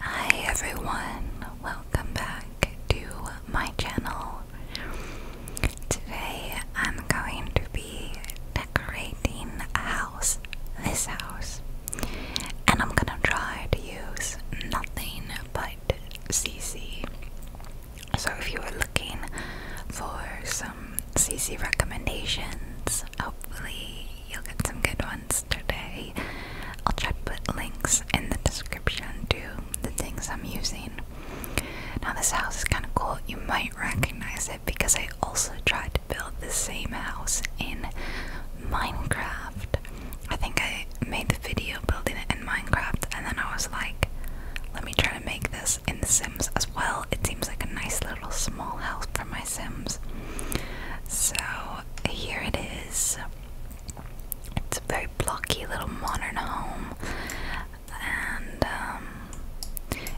Hi everyone, welcome back to my channel. Today I'm going to be decorating a house, this house, and I'm gonna try to use nothing but CC. So if you are looking for some CC recommendations, hopefully You'll get some good ones today. I'll try to put links in the description to the things I'm using. Now, this house is kind of cool. You might recognize it because I also tried to build the same house in Minecraft. I think I made the video building it in Minecraft, and then I was like, let me try to make this in Sims as well. It seems like a nice little small house for my Sims. So here it is. It's a very blocky little modern home, and um,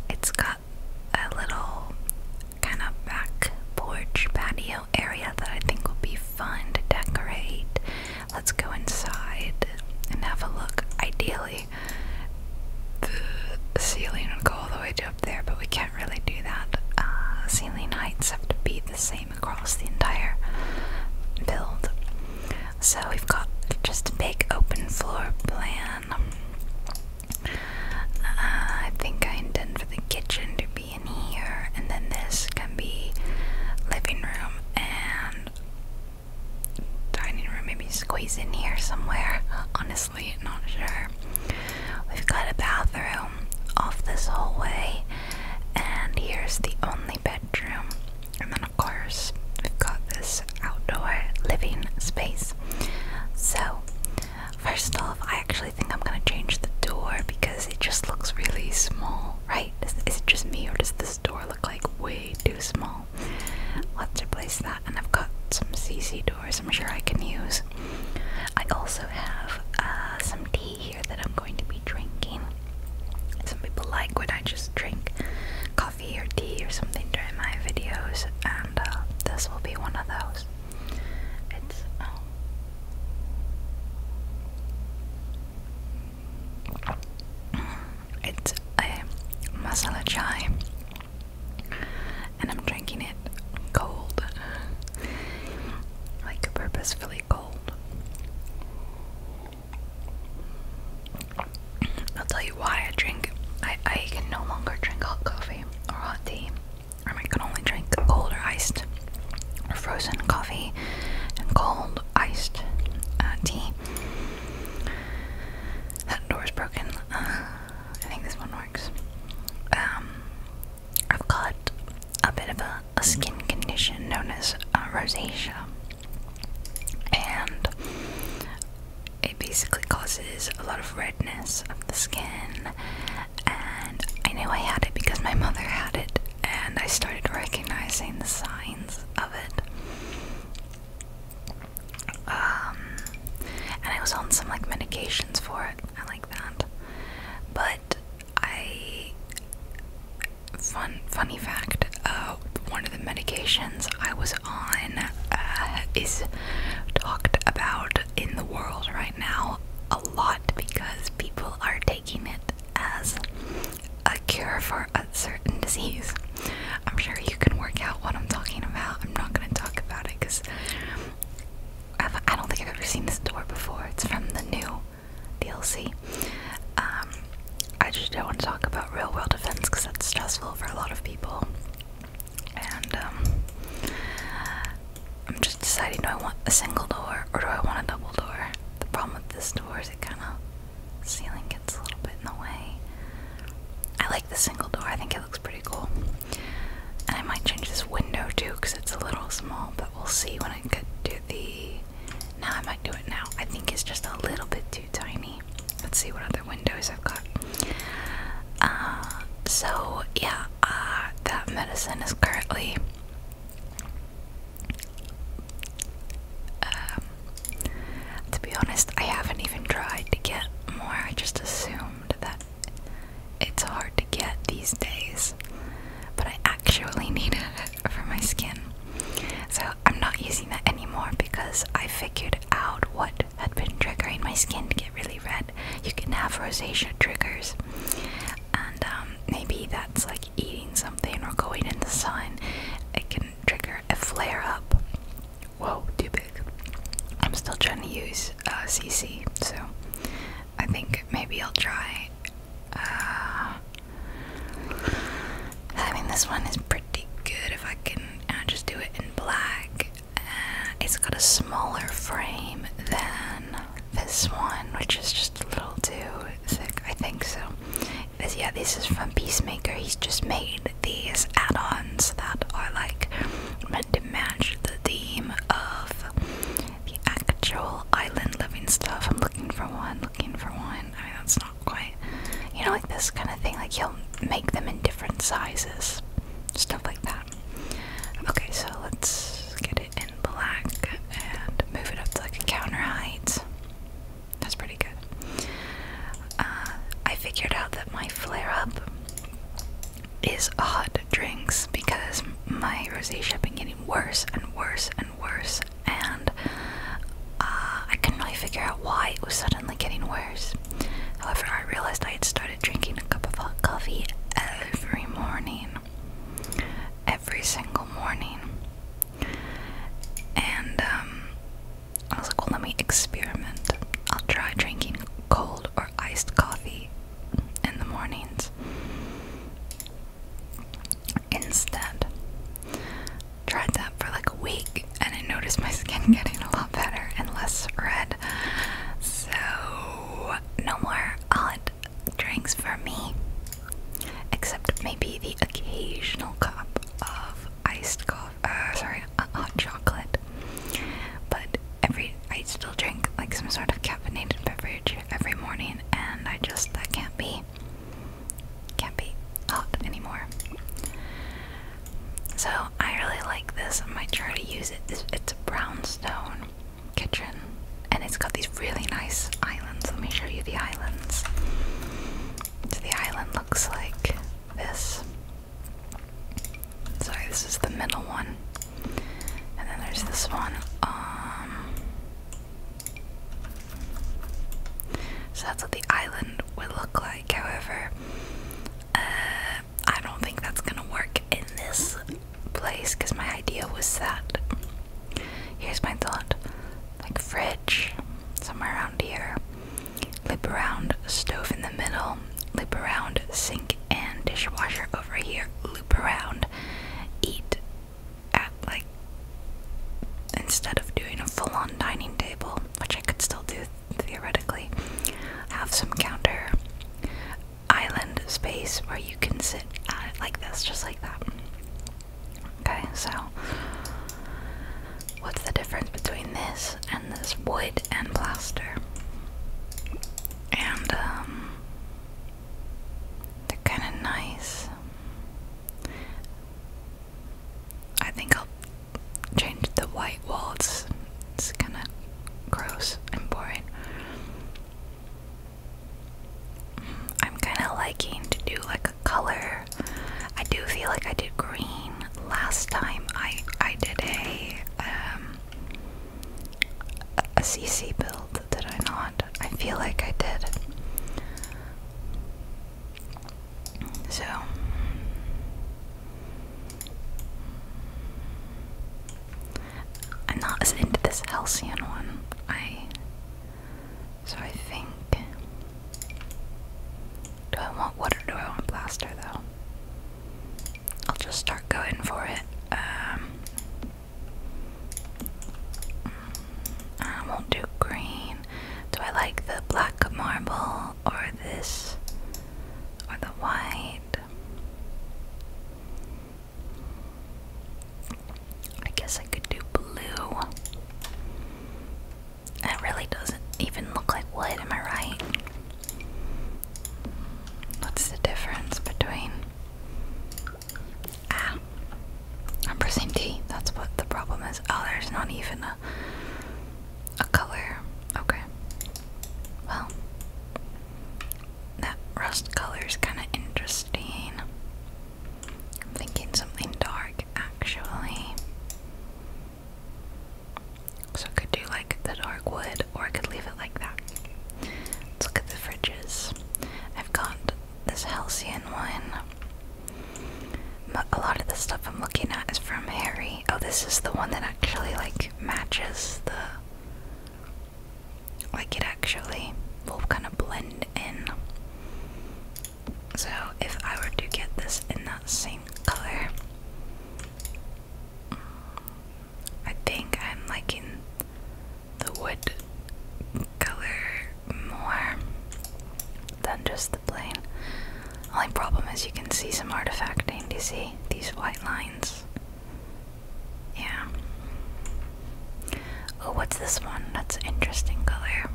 it's got a little kind of back porch patio area that I think will be fun to decorate. Let's go inside and have a look. Ideally, the ceiling would go all the way up there, but we can't really do that. Uh, ceiling heights have to be the same across the entire build. So we've got just a big open floor plan. Uh, I think I intend for the kitchen to be in here, and then this can be living room and dining room. Maybe squeeze in here somewhere. Honestly, not sure. We've got a bathroom off this hallway, and here's the only bedroom. And then, of course, we've got this outdoor living space. So, first off, I actually think I'm gonna change the door because it just looks really small, right? Is, it just me, or does this door look like way too small? Let's replace that, and I've got some CC doors I'm sure I can use. I also have uh, some tea here that I'm going to be drinking. Some people like when I just drink coffee or tea or something during my videos, and uh, this will be one of those. It's um, It's masala chai, and I'm drinking it cold. like purposefully cold. I'll tell you why I drink. I, I can no longer drink hot coffee or hot tea. I mean, I can only drink cold or iced or frozen coffee and cold iced uh, tea. That door is broken. Uh, I think this one works. Um, I've got a bit of a a skin condition known as uh, rosacea, and it basically causes a lot of redness of the skin. And I knew I had it because my mother had it, and I started recognizing the signs of it. Um, and I was on some like medications for it. I like that, but I fun funny fact, uh, one of the medications I was on uh, is talked about in the world right now a lot because people are taking it as a cure for a certain disease. I'm sure you can work out what I'm talking about. I'm not going to talk about it because I've, I do not think I've ever seen this door before. It's from the new DLC. Um, I just don't want to talk about real world events because that's stressful for a lot of people. And um, I'm just deciding do I want a single door or do I want a double door? The problem with this door is it kind of ceiling gets a little bit in the way. I like the single door. I think it looks pretty cool. And I might change this window too because it's a little small, we'll see when I get to the. Now I might do it now. I think it's just a little bit too tiny. Let's see what other windows I've got. Uh, so yeah, uh, that medicine is currently. Um, to be honest, I haven't even tried to get more. I just assumed that it's hard to get these days, but I actually need it for my skin. So I'm not using that anymore because I figured out what had been triggering my skin to get really red. You can have rosacea triggers, and um, maybe that's like eating something or going in the sun. It can trigger a flare up. Whoa, too big. I'm still trying to use uh, CC, so I think maybe I'll try. Uh, I mean, this one is pretty good if I can uh, just do it in black. Uh, it's got a smaller frame than this one, which is just a little too thick, I think so. This, yeah, this is from Peacemaker. He's just made these add ons that are like meant to match the theme of the actual island living stuff. I'm looking for one, looking for one. I mean, that's not quite. You know, like this kind of thing. Like he'll make them in different sizes. Stuff like that. Okay, so let's get it in black and move it up to like a counter height. That's pretty good. Uh, I figured out that my flare up is odd drinks because my rosacea had been getting worse and worse and worse, and uh, I couldn't really figure out why it was suddenly getting worse. However, I realized I had started drinking a cup of hot coffee every morning, every single morning, and um, I was like, well, let me experiment. I'll try drinking cold or iced coffee in the mornings instead. Tried that for like a week and I noticed my skin getting a lot better and less red. So, no more odd drinks for me. Except maybe the occasional cup of iced coffee, uh, sorry, uh, hot chocolate. But every, I still drink like some sort of caffeinated beverage every morning and I just that can't be can't be up anymore. So I really like this. I might try to use it. It's, it's a brownstone kitchen, and it's got these really nice islands. Let me show you the islands. the island looks like this. Sorry, this is the middle one. And then there's this one. Um, so that's what the island would look like. However, uh, I don't think that's gonna work in this place because my idea was that. Here's my thought like fridge, somewhere around here, lip around, stove in the middle, loop around, sink and dishwasher over here, loop around, eat at like instead of doing a full-on dining table, which I could still do theoretically, have some counter island space where you can sit at it like this, just like that. Okay, so what's the difference between this and this wood and plaster? And um they're kind of nice. I think I'll change the white walls. It's kind of gross and boring. I'm kind of liking to do like a color. I do feel like I did green last time. I I did a um, a CC build, did I not? I feel like I did. So. I'm not as into this Halcyon one. I. So I think. Do I want water? Do I want blaster though? I'll just start going for it. Um, um, I won't do green. Do I like the black marble or this or the white? I guess I could do blue. It really doesn't even look like wood, am I right? What's the difference between Ah, I'm pressing T. That's what the problem is. Oh, there's not even a a color. Okay. Well, that rust color is kind of interesting. I'm thinking something dark, actually. So I could do like the dark wood, or I could leave it like that. Let's look at the fridges. I've got this Halcyon one. But a lot of the stuff I'm looking at is from Harry. Oh, this is the one that actually like matches the like it actually will kind of blend in. So if I were to get this in that same color, I think I'm liking the wood color more than just the plain. Only problem is you can see some artifacting. Do you see these white lines? Yeah. Oh, what's this one? That's interesting color.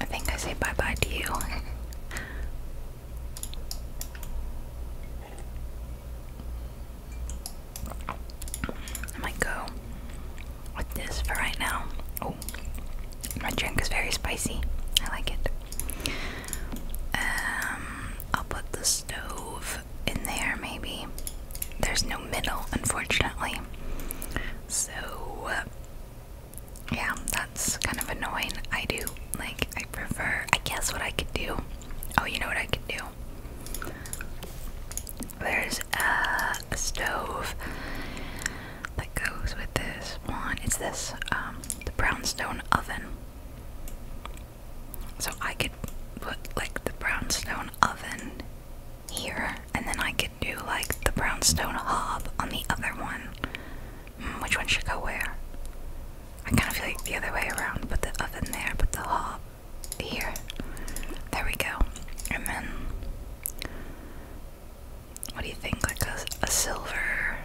I think I say bye bye to you. I might go with this for right now. Oh, my drink is very spicy. I like it. Um, I'll put the stove in there maybe. There's no middle, unfortunately. So, uh, yeah, that's kind of annoying. I do like I prefer I guess what I could do. Oh you know what I could do? There's uh, a stove that goes with this one. It's this um the brownstone oven. So I could put like the brownstone oven here and then I could do like the brownstone hob on the other one. Hmm, which one should go where? I kind of feel like the other way around. Put the oven there, put the hob here. There we go. And then, what do you think? Like a, silver.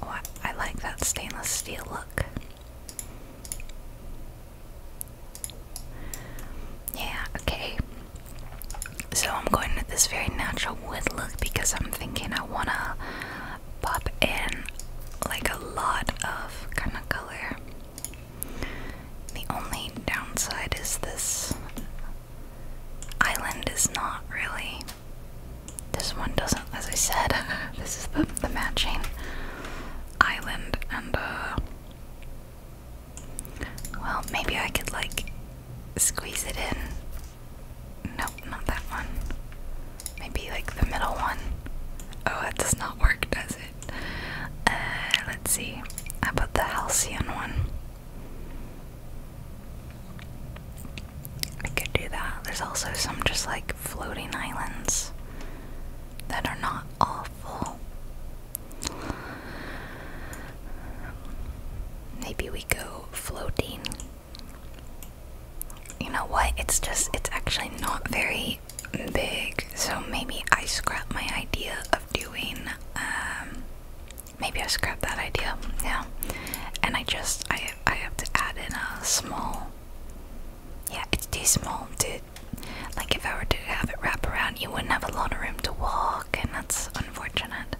Oh, I, I like that stainless steel look. Yeah, okay. So I'm going with this very natural wood look because I'm thinking I wanna pop in like a lot of kind of color. The only downside is this island is not really. This one doesn't, as I said, this is the, the matching island, and uh. Well, maybe I could like squeeze it in Nope, not that one. Maybe like the middle one. Oh, that does not work, does it? Uh, let's see. I put the Halcyon one? I could do that. There's also some just like floating islands that are not awful. Maybe we go floating you know what? It's just, it's actually not very big. So maybe I scrap my idea of doing, um, maybe I scrap that idea. Yeah. And I just, I, I have to add in a small, yeah, it's too small to, like if I were to have it wrap around, you wouldn't have a lot of room to walk and that's unfortunate.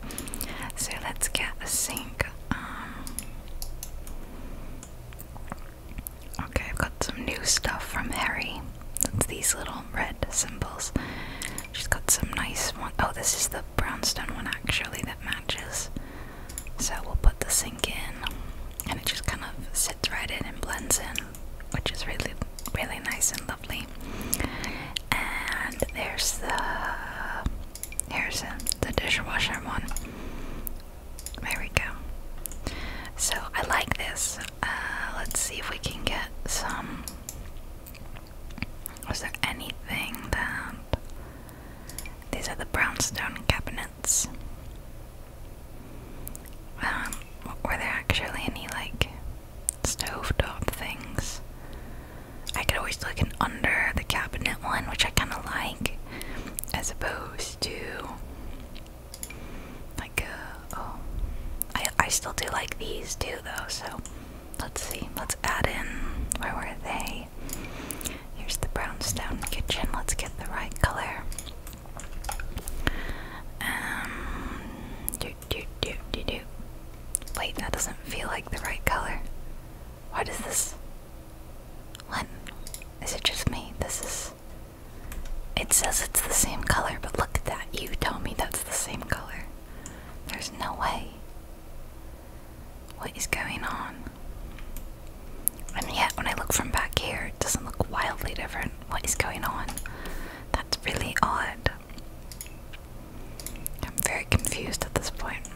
So let's get a sink. Um, Okay, I've got some new stuff from Harry. these little red symbols. She's got some nice one. Oh, this is the brownstone one actually that matches. So we'll put the sink in, and it just kind of sits right in and blends in, which is really, really nice and lovely. And there's the here's the dishwasher one. There we go. So I like this. Uh, let's see if we can get some. Was there anything that. These are the brownstone cabinets. Um, were there actually any, like, stovetop things? I could always look in under the cabinet one, which I kind of like as opposed to like uh, oh I I still do like these too though so let's see let's add in where were they here's the brownstone kitchen let's get the right color um do do do do do wait that doesn't feel like the right color what is this what is it just me? This is. It says it's the same color, but look at that. You told me that's the same color. There's no way. What is going on? And yet, when I look from back here, it doesn't look wildly different. What is going on? That's really odd. I'm very confused at this point.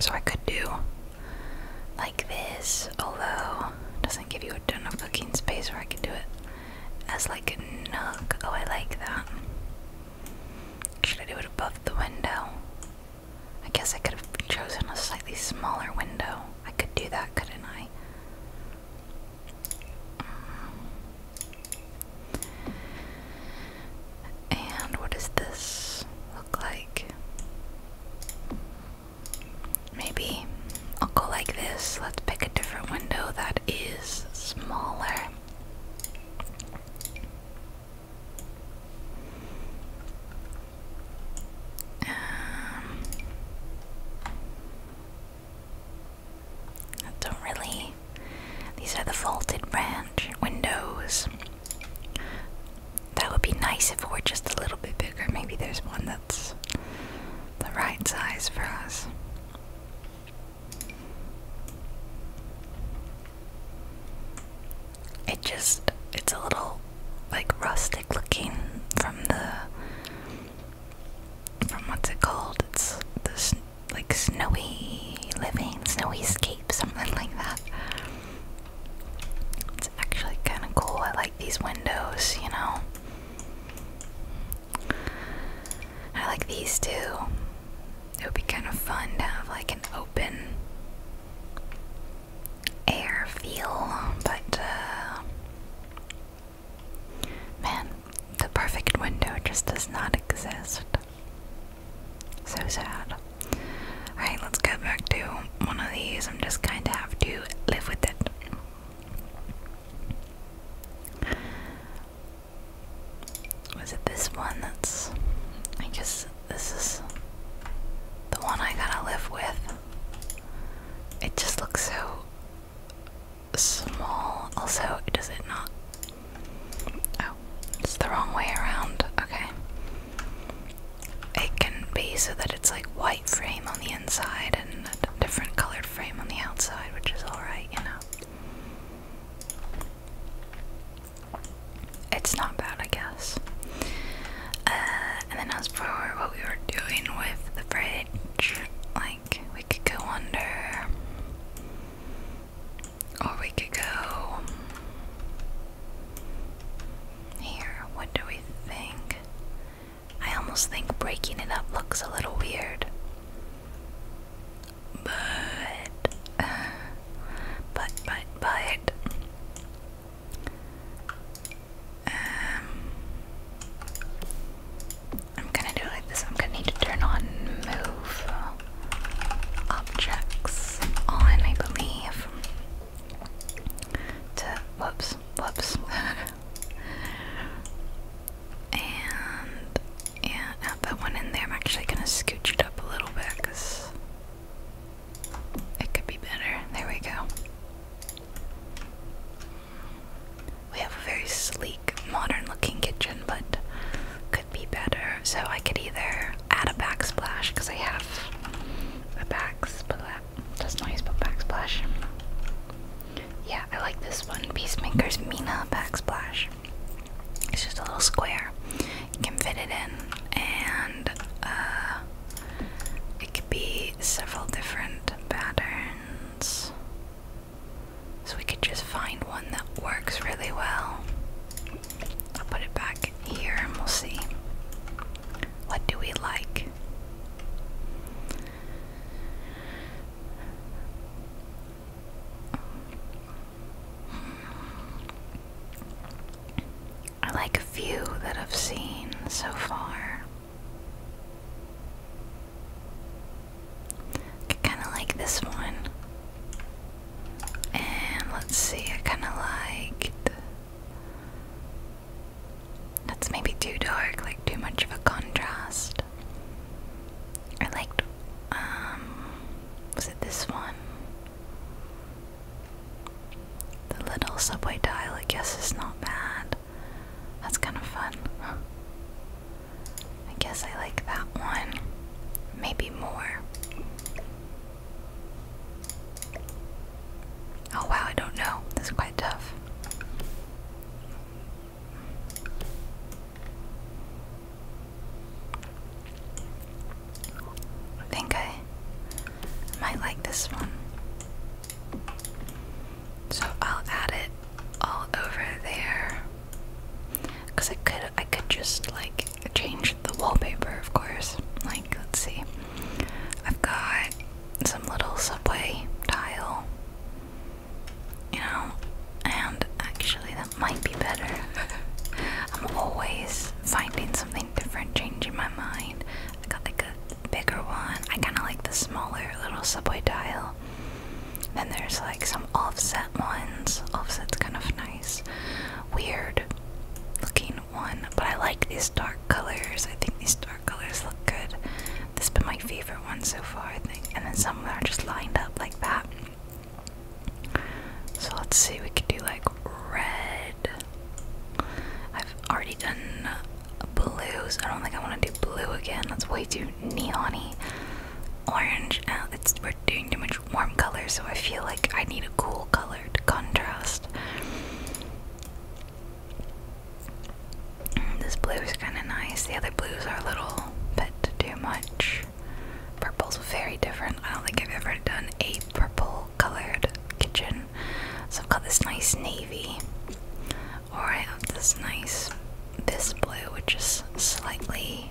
So, I could do like this, although it doesn't give you a ton of cooking space where I can do it as like a nook. Oh, I like that. Should I do it above the window? I guess I could have chosen a slightly smaller window. I could do that, couldn't I? Mm. And what does this look like? Maybe I'll go like this. Let's pick a different window that is smaller. Um, I don't really. These are the vaulted branch windows. That would be nice if we're just a little bit bigger. Maybe there's one that's the right size for us. It just, it's a little like rustic looking from the, from what's it called? It's this like snowy living, snowy scape, something like that. It's actually kind of cool. I like these windows, you know. I like these too. It would be kind of fun to have like an open air feel, but uh, man, the perfect window just does not exist. So sad. Alright, let's get back to one of these. I'm just kind of have to live with it. Was it this one that's. I guess this is the one I gotta live with. It just looks so small. Also, does it not? Oh, it's the wrong way around. Okay it can be so that it's like white frame on the inside and a different colored frame on the outside, which is alright, you know. It's not bad, I guess. Uh, and then as for what we were doing with the fridge, like we could go under, or we could go. Here, what do we think? I almost think breaking it up looks a little weird. But, but, but, but, um, I'm gonna do it like this. I'm gonna need to turn on move objects on, I believe whoops, whoops. and yeah, add that one in there. I'm actually gonna scooch it up a little bit because it could be better. There we go. We have a very sleek, modern looking kitchen, but could be better. So I could either add a backsplash because I have a back backsplash. That's nice, but backsplash. Yeah, I like this one. Peacemaker's Mina backsplash. It's just a little square. You can fit it in, and uh, it could be several different patterns. So we could just find one that works really well. I'll put it back here and we'll see. What do we like? I like a few that I've seen so far. I kind of like this one. And let's see, I kind of liked that's maybe too dark, like too much of a contrast. I liked, um, was it this one? The little subway tile, I guess, is not bad. That's kind of fun. I guess I like that one. Maybe more. Oh wow, I don't know. That's quite tough. I think I might like this one. So I'll add it all over there. Cause I could I could just like change the wallpaper of course. Like let's see. I've got some little subway tile, you know, and actually that might be better. I'm always finding something different, changing my mind. I got like a bigger one. I kind of like the smaller little subway tile. Then there's like some offset ones. Offset's kind of nice. Weird looking one, but I like these dark colors. I think these dark colors look good. This has been my favorite one so far, I think. And then some of them are just lined up like that. So let's see, we could do like red. I've already done blues. I don't think I want to do blue again. That's way too neony. Orange. Uh, it's we're doing too much warm color, so I feel like I need a cool color to contrast. This blue is kind of nice. The other blues are a little bit too much. Purple's very different. I don't think I've ever done a purple colored kitchen. So I've got this nice navy, or I have this nice this blue, which is slightly,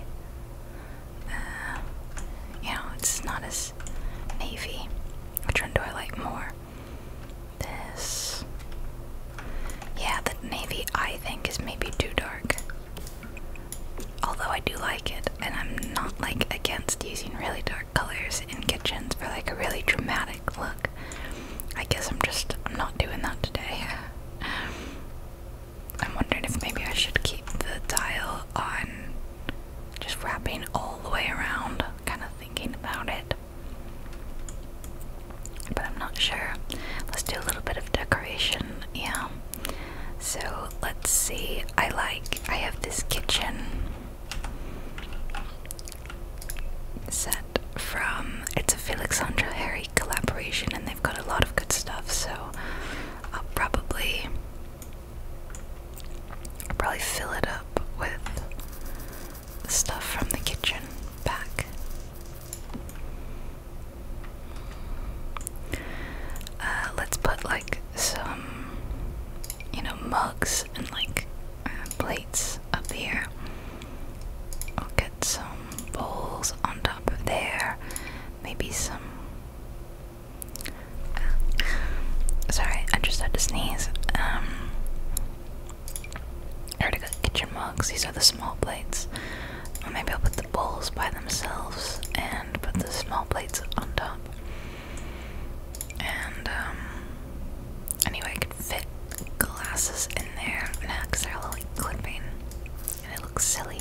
uh, you know, it's not as navy. Which one do I like more? This. Yeah, the navy I think is maybe too dark. Although I do like it, and I'm not like against using really dark colors in kitchens for like a really dramatic look. I guess I'm just I'm not doing that today. I'm wondering if maybe I should keep the dial on just wrapping all the way around, kind of thinking about it. But I'm not sure. Let's do a little bit of decoration, yeah. So let's see. I like, I have this kitchen set from, it's a Felixandra Harry collaboration, and they've got a lot of good stuff, so I'll probably I'll probably fill it up with stuff from the kitchen back. Uh, let's put like some, you know, mugs and like uh, plates up here. I'll get some bowls on top of there. Maybe some um, sorry, I just had to sneeze. Um, to go get your mugs. These are the small plates. Or um, maybe I'll put the bowls by themselves and put the small plates on top. And um, anyway, I could fit glasses in there now because they're all like clipping, and it looks silly.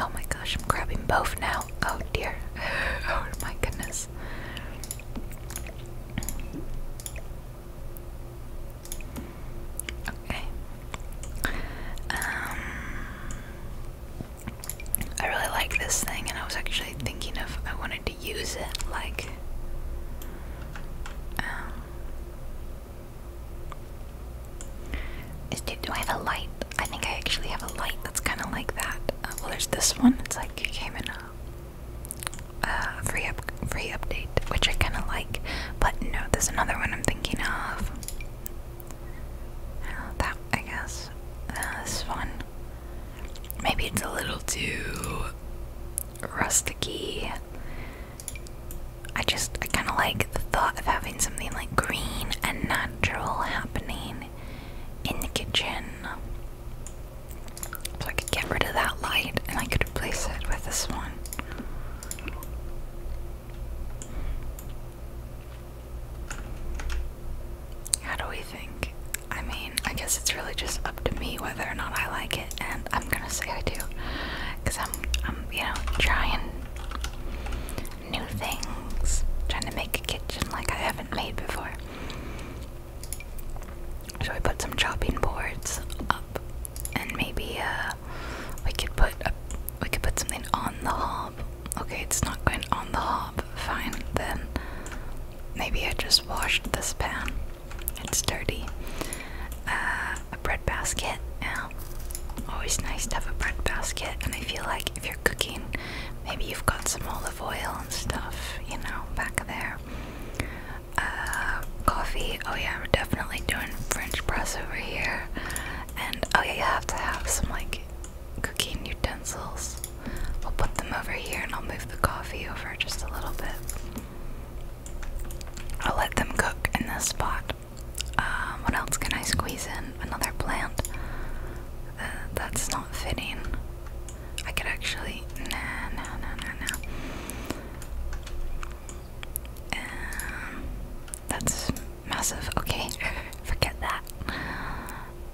Oh my gosh, I'm grabbing both now. Oh dear. Oh my goodness. Okay. Um, I really like this thing, and I was actually thinking of I wanted to use it like. Um, do I have a light I think I actually have a light that's kind of like that. Uh, well, there's this one. It's like came in a free up free update, which I kind of like. But no, there's another one I'm thinking of. Uh, that I guess uh, this one. Maybe it's a little too rusticy. I just I kind of like the thought of having something like green and natural happening in the kitchen. So I could get rid of that light and I could replace it with this one. How do we think? I mean, I guess it's really just up to me whether or not I like it, and I'm gonna say I do, because I'm, I'm, you know, trying new things, trying to make a kitchen like I haven't made before. So I put some chopping boards up, and maybe uh, we could put a, we could put something on the hob. Okay, it's not going on the hob. Fine then. Maybe I just washed this pan. It's dirty. Uh, a bread basket. Yeah, always nice to have a bread basket, and I feel like if you're cooking, maybe you've got some olive oil and stuff, you know, back there. Uh, coffee, oh yeah, we're definitely doing French press over here. And oh yeah, you have to have some like cooking utensils. We'll put them over here and I'll move the coffee over just a little bit. I'll let them cook in this spot. Um, what else can I squeeze in? Another plant uh, that's not fitting. I could actually, nah, no, no, no, no. Um, that's massive. Okay, forget that.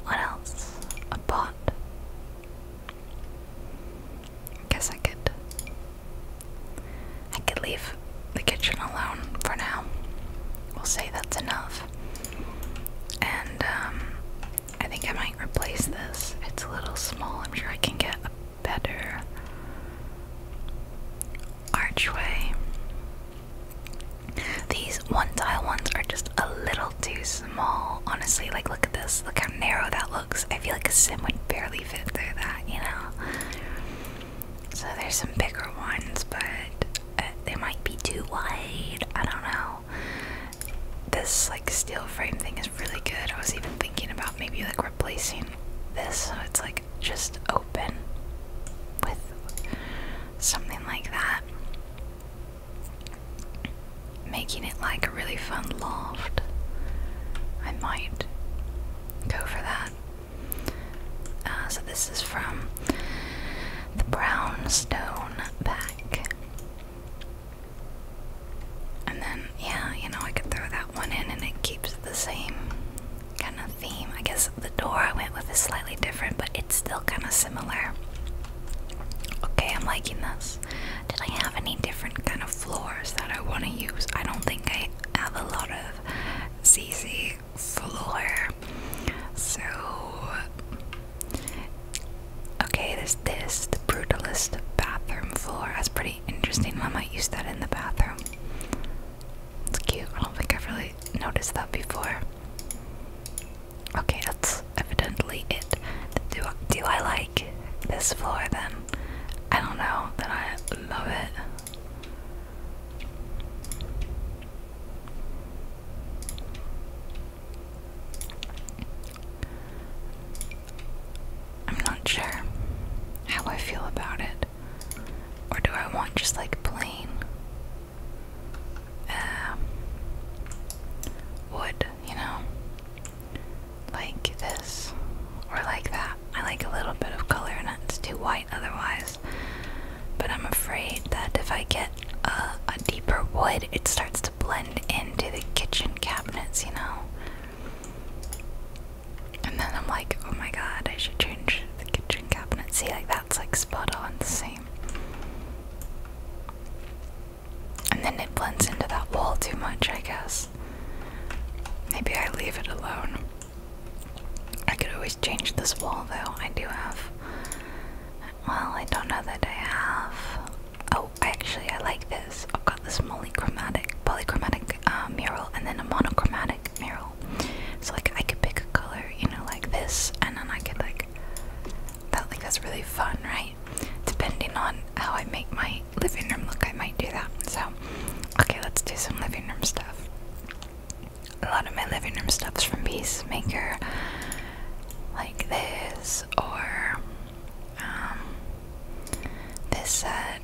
What else? A pot. Guess I could. I could leave the kitchen alone for now. We'll say that's enough. And um, I think I might replace this. It's a little small. I'm sure I can get a better archway. These one tile ones are just a little too small. Honestly, like look at this. Look how narrow that looks. I feel like a sim would barely fit through that, you know? So there's some bigger ones, but uh, they might be too wide. I don't know. This like steel frame thing is really good. I was even thinking about maybe like replacing this so it's like just open with something like that. Making it like a really fun loft. I might go for that. Uh, so, this is from the Brownstone Bag. And then, yeah, you know, I could throw that one in and it keeps the same kind of theme. I guess the door I went with is slightly different, but it's still kind of similar. Okay, I'm liking this. Did I have any different kind of floors that I want to use? I don't think I have a lot of CC floor so, okay, this this, the brutalist bathroom floor. That's pretty interesting. I might use that in the bathroom. It's cute. I don't think I've really noticed that before. Okay, that's evidently it. Do do I like this floor then? I don't know that I love it. I'm not sure how I feel about it. Or do I want just like plain uh, wood, you know? Like this or like that. I like a little bit of color and it's too white otherwise. But I'm afraid that if I get a, deeper wood, it starts to blend into the kitchen cabinets, you know? And then I'm like, oh my god, I should change the kitchen cabinets." See, like that's like spot on the same. And then it blends into that wall too much, I guess. Maybe I leave it alone. I could always change this wall though. I do have well, I don't know that I have. Oh, actually, I like this. I've got this monochromatic, polychromatic uh, mural, and then a monochromatic mural. So like, I could pick a color, you know, like this, and then I could like that. Like that's really fun, right? Depending on how I make my living room look, I might do that. So, okay, let's do some living room stuff. A lot of my living room stuff's from Peacemaker like this or um, this set.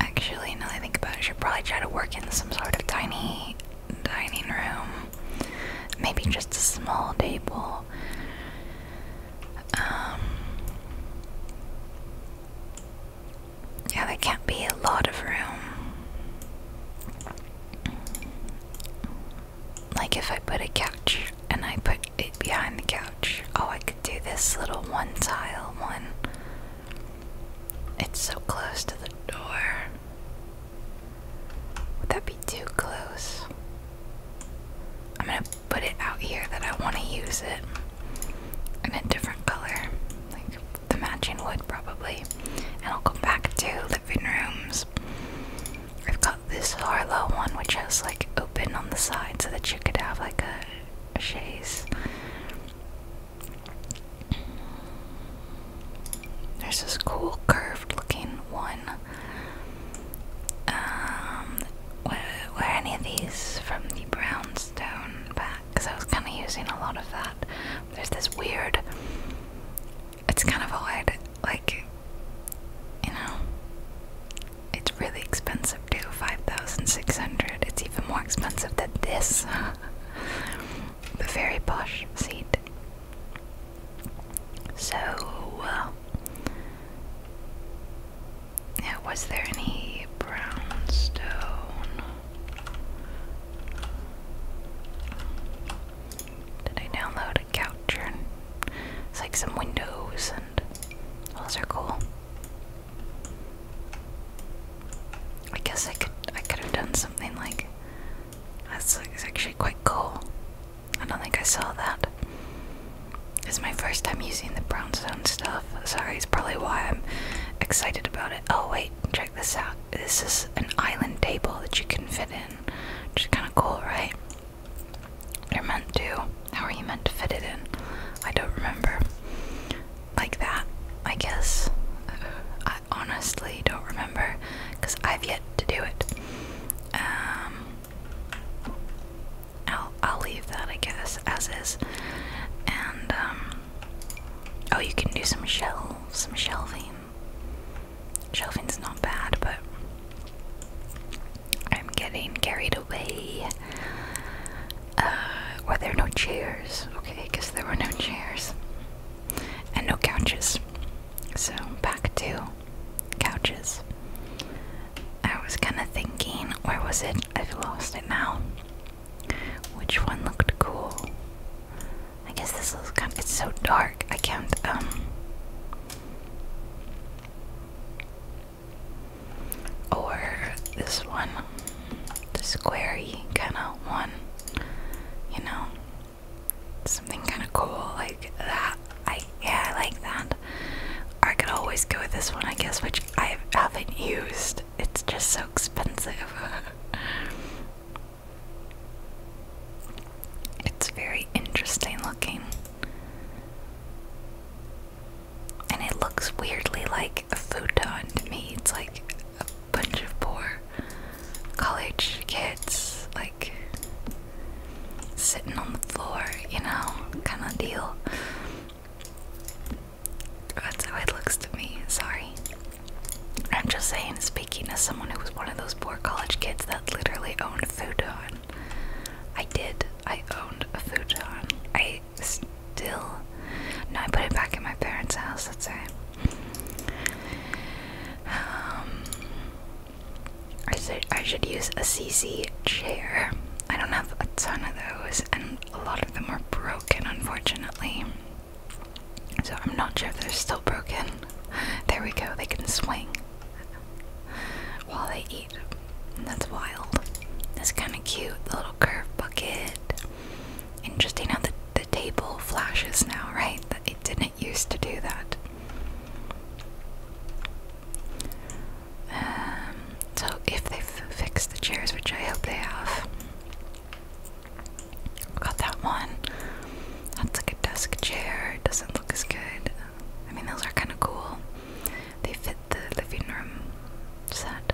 Actually, now I think about it, I should probably try to work in some sort of tiny dining room. Maybe just a small table. Um, yeah, there can't be a lot of room. Like if I put a couch and I put it behind the couch, oh, I could do this little one tile one. It's so close to the door. Would that be too close? I'm gonna put it out here that I want to use it in a different color, like the matching wood probably. And I'll go back to living rooms I've got this Harlow one which has like open on the side so that you could have like a, a chaise. There's this cool curved looking one. Um, were, were any of these from the brownstone pack? Because I was kind of using a lot of that. There's this weird it's kind of odd, like, you know, it's really expensive too, 5,600, it's even more expensive than this, the very posh seat. So, uh, yeah, was there any brownstone? Did I download couch and it's like some windows and those are cool. I guess I could I could have done something like that's actually quite cool. I don't think I saw that. It's my first time using the brownstone stuff. Sorry, it's probably why I'm excited about it. Oh wait, check this out. This is an island table that you can fit in. Which is kind of cool, right? You're meant to. How are you meant to fit it in? I don't remember. Like that, I guess. I honestly don't remember because I've yet to do it. Um, I'll I'll leave that I guess as is. And um, oh, you can do some shelves, some shelving. Shelving's not bad, but I'm getting carried away. Uh, were there no chairs? Okay, because there were no chairs and no couches. So back to couches. I was kind of thinking, where was it? I've lost it now. Which one looked cool? I guess this looks kind of, it's so dark. I can't, um. Or this one, the squarey kind of one, you know, something kind of cool like that. I yeah, I like that. I could always go with this one, I guess, which I haven't used. It's just so expensive. It's very interesting looking. And it looks weirdly like a futon to me. It's like a bunch of poor college kids, like sitting on the floor, you know, kind of deal. That's how it looks to me. Sorry. I'm just saying, speaking as someone who was one of those poor college kids, that that literally owned futon. I did. I owned a futon. I still. No, I put it back in my parents' house, That's us Um, I should, I should use a CC chair. I don't have a ton of those, and a lot of them are broken, unfortunately. So I'm not sure if they're still broken. There we go, they can swing. while they eat. And that's wild. That's kind of cute. The little curved bucket. Interesting how the, the table flashes now, right? That it didn't used to do that. Um, so if they've the chairs, which I hope they have, got that one. That's like a desk chair. doesn't looks good. I mean, those are kind of cool. They fit the living room set.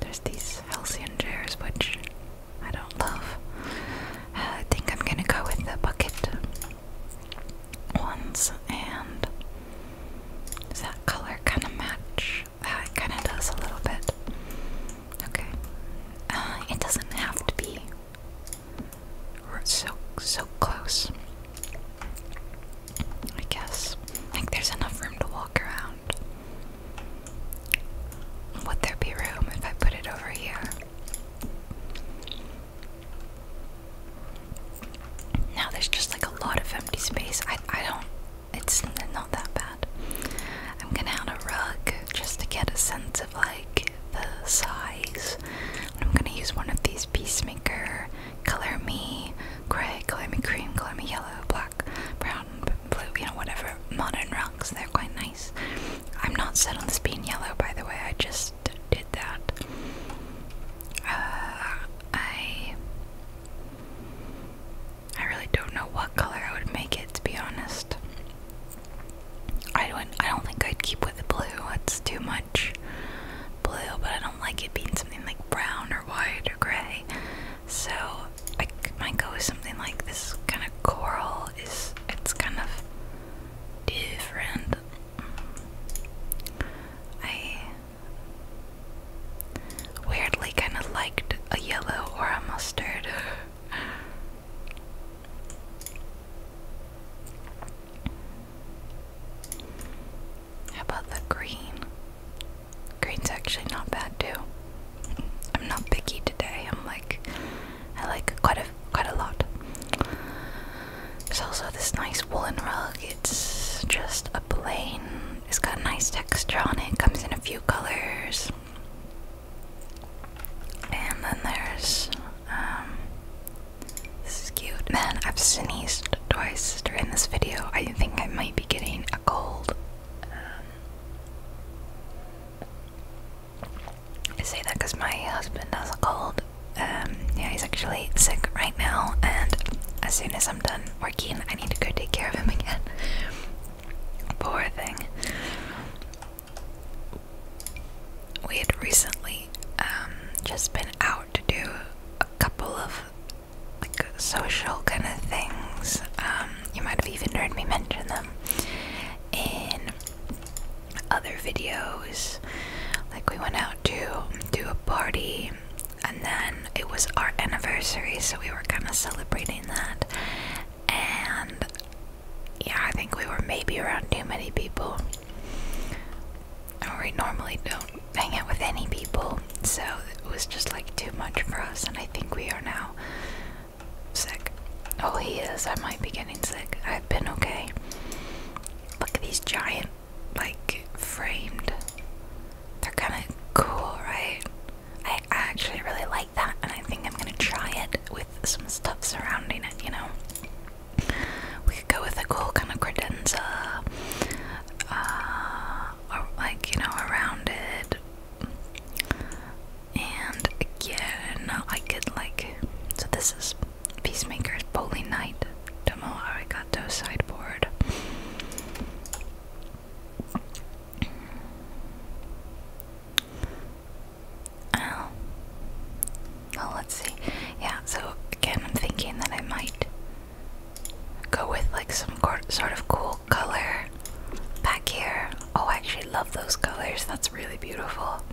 There's these halcyon chairs, which I don't love. Uh, I think I'm gonna go with the bucket ones. And does that color kind of match? That uh, it kind of does a little bit. Okay. Uh, it doesn't have to be so so close. I guess. Like there's enough room to walk around. Would there be room if I put it over here? Now there's just like a lot of empty space. I I don't it's not that bad. I'm gonna add a rug just to get a sense of like the size. I'm gonna use one of these Peacemaker Color Me Gray, Color Me Cream, Color Me Yellow, Black, Brown, Blue, you know, whatever. Modern rocks, they're quite nice. I'm not set on this being yellow, by the way, I just did that. Uh, I. I really don't know what color I would make it, to be honest. I don't I don't think I'd keep with the blue. It's too much blue, but I don't like it being something like brown or white or gray. So I might go with something like this kind of coral is it's kind of different. I weirdly kind of liked a yellow or a mustard. How about the green? Green's actually not bad too. I'm not picky today. I'm like, I like quite a quite a lot. There's also this nice woolen rug. It's just a plain. It's got a nice texture on it. Comes in a few colors. And then there's um, this is cute. Man, I've sneezed twice during this video. I think I might be getting a cold. Um, I say that because my husband has a cold. Um, yeah, he's actually sick right now, and as soon as I'm done working, I need to go take care of him again. Poor thing we had recently um, just been out to do a couple of like social kind of things. Um, you might have even heard me mention them in other videos. Like we went out to do a party, and then it was our anniversary, so we were kind of celebrating that. And yeah, I think we were maybe around too many people. And we normally don't hang out with any people, so it was just like too much for us, and I think we are now sick. Oh, he is. I might be getting sick. I've been okay. Look at these giant, like, framed. They're kind of cool, right? I, I actually really like that, and I think I'm gonna try it with some stuff surrounding it, you know? We could go with a cool kind of credenza, uh, or like you know, around it. And again, I could like. So this is Peacemaker's Bowling Night Domo Arigato sideboard. Oh. Well, let's see. Yeah, so again, I'm thinking that I might go with like some sort of cool color back here. Oh, I actually love those colors. That's really beautiful.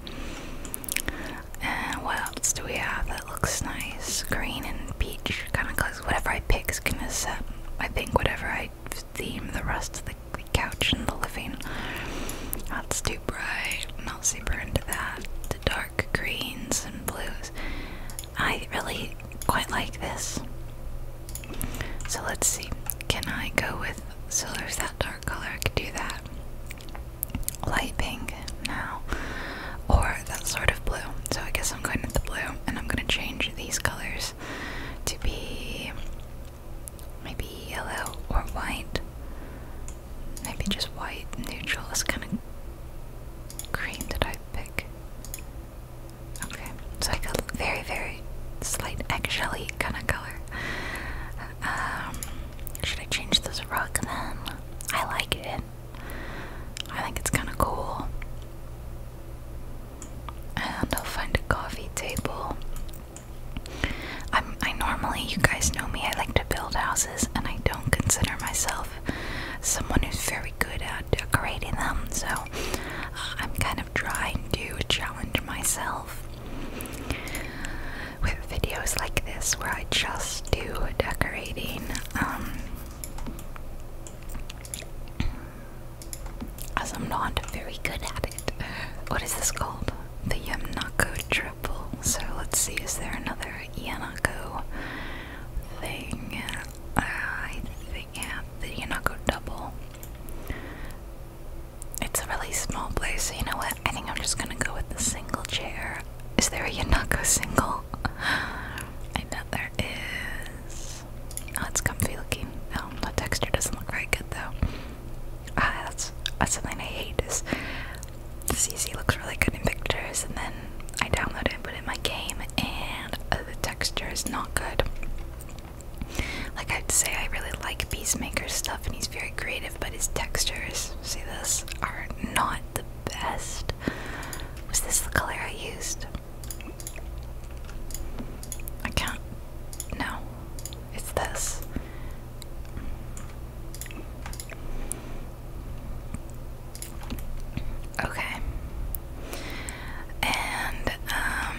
And what else do we have that looks nice? Green and peach kind of Cause Whatever I pick is gonna set, I think, whatever I theme the rest of the, the couch and the living. That's too bright. I'm not super into that. The dark greens and blues. I really quite like this. So let's see. Can I go with so there's that dark color? I could do that. Light pink now. Or that sort of blue. So I guess I'm going with the blue and I'm gonna change these colors to be maybe yellow or white. Maybe just white neutral is kind of cream that I pick. Okay, it's like a very, very slight actually kind of color. Um, should I change this rug then? I like it. I think it's kind of cool. And I'll find a coffee table i normally, you guys know me, I like to build houses, and I don't consider myself someone who's very good at decorating them, so uh, I'm kind of trying to challenge myself with videos like this where I just do decorating. Um, as I'm not very good at it. What is this called? the Yamnako triple. So let's see, is there another Yanako thing? I think, yeah, the Yanako double. It's a really small place, so you know what? I think I'm just gonna go with the single chair. Is there a Yanako single? I know there is. Oh, it's comfy looking. Oh, the texture doesn't look very good though. Ah, that's, that's something I hate is CC looks really good in pictures, and then I download it, put it in my game, and uh, the texture is not good. Like I'd say, I really like Peacemaker stuff, and he's very creative, but his textures, see this, are not the best. Was this the color I used? I can't. No, it's this. Okay. And um,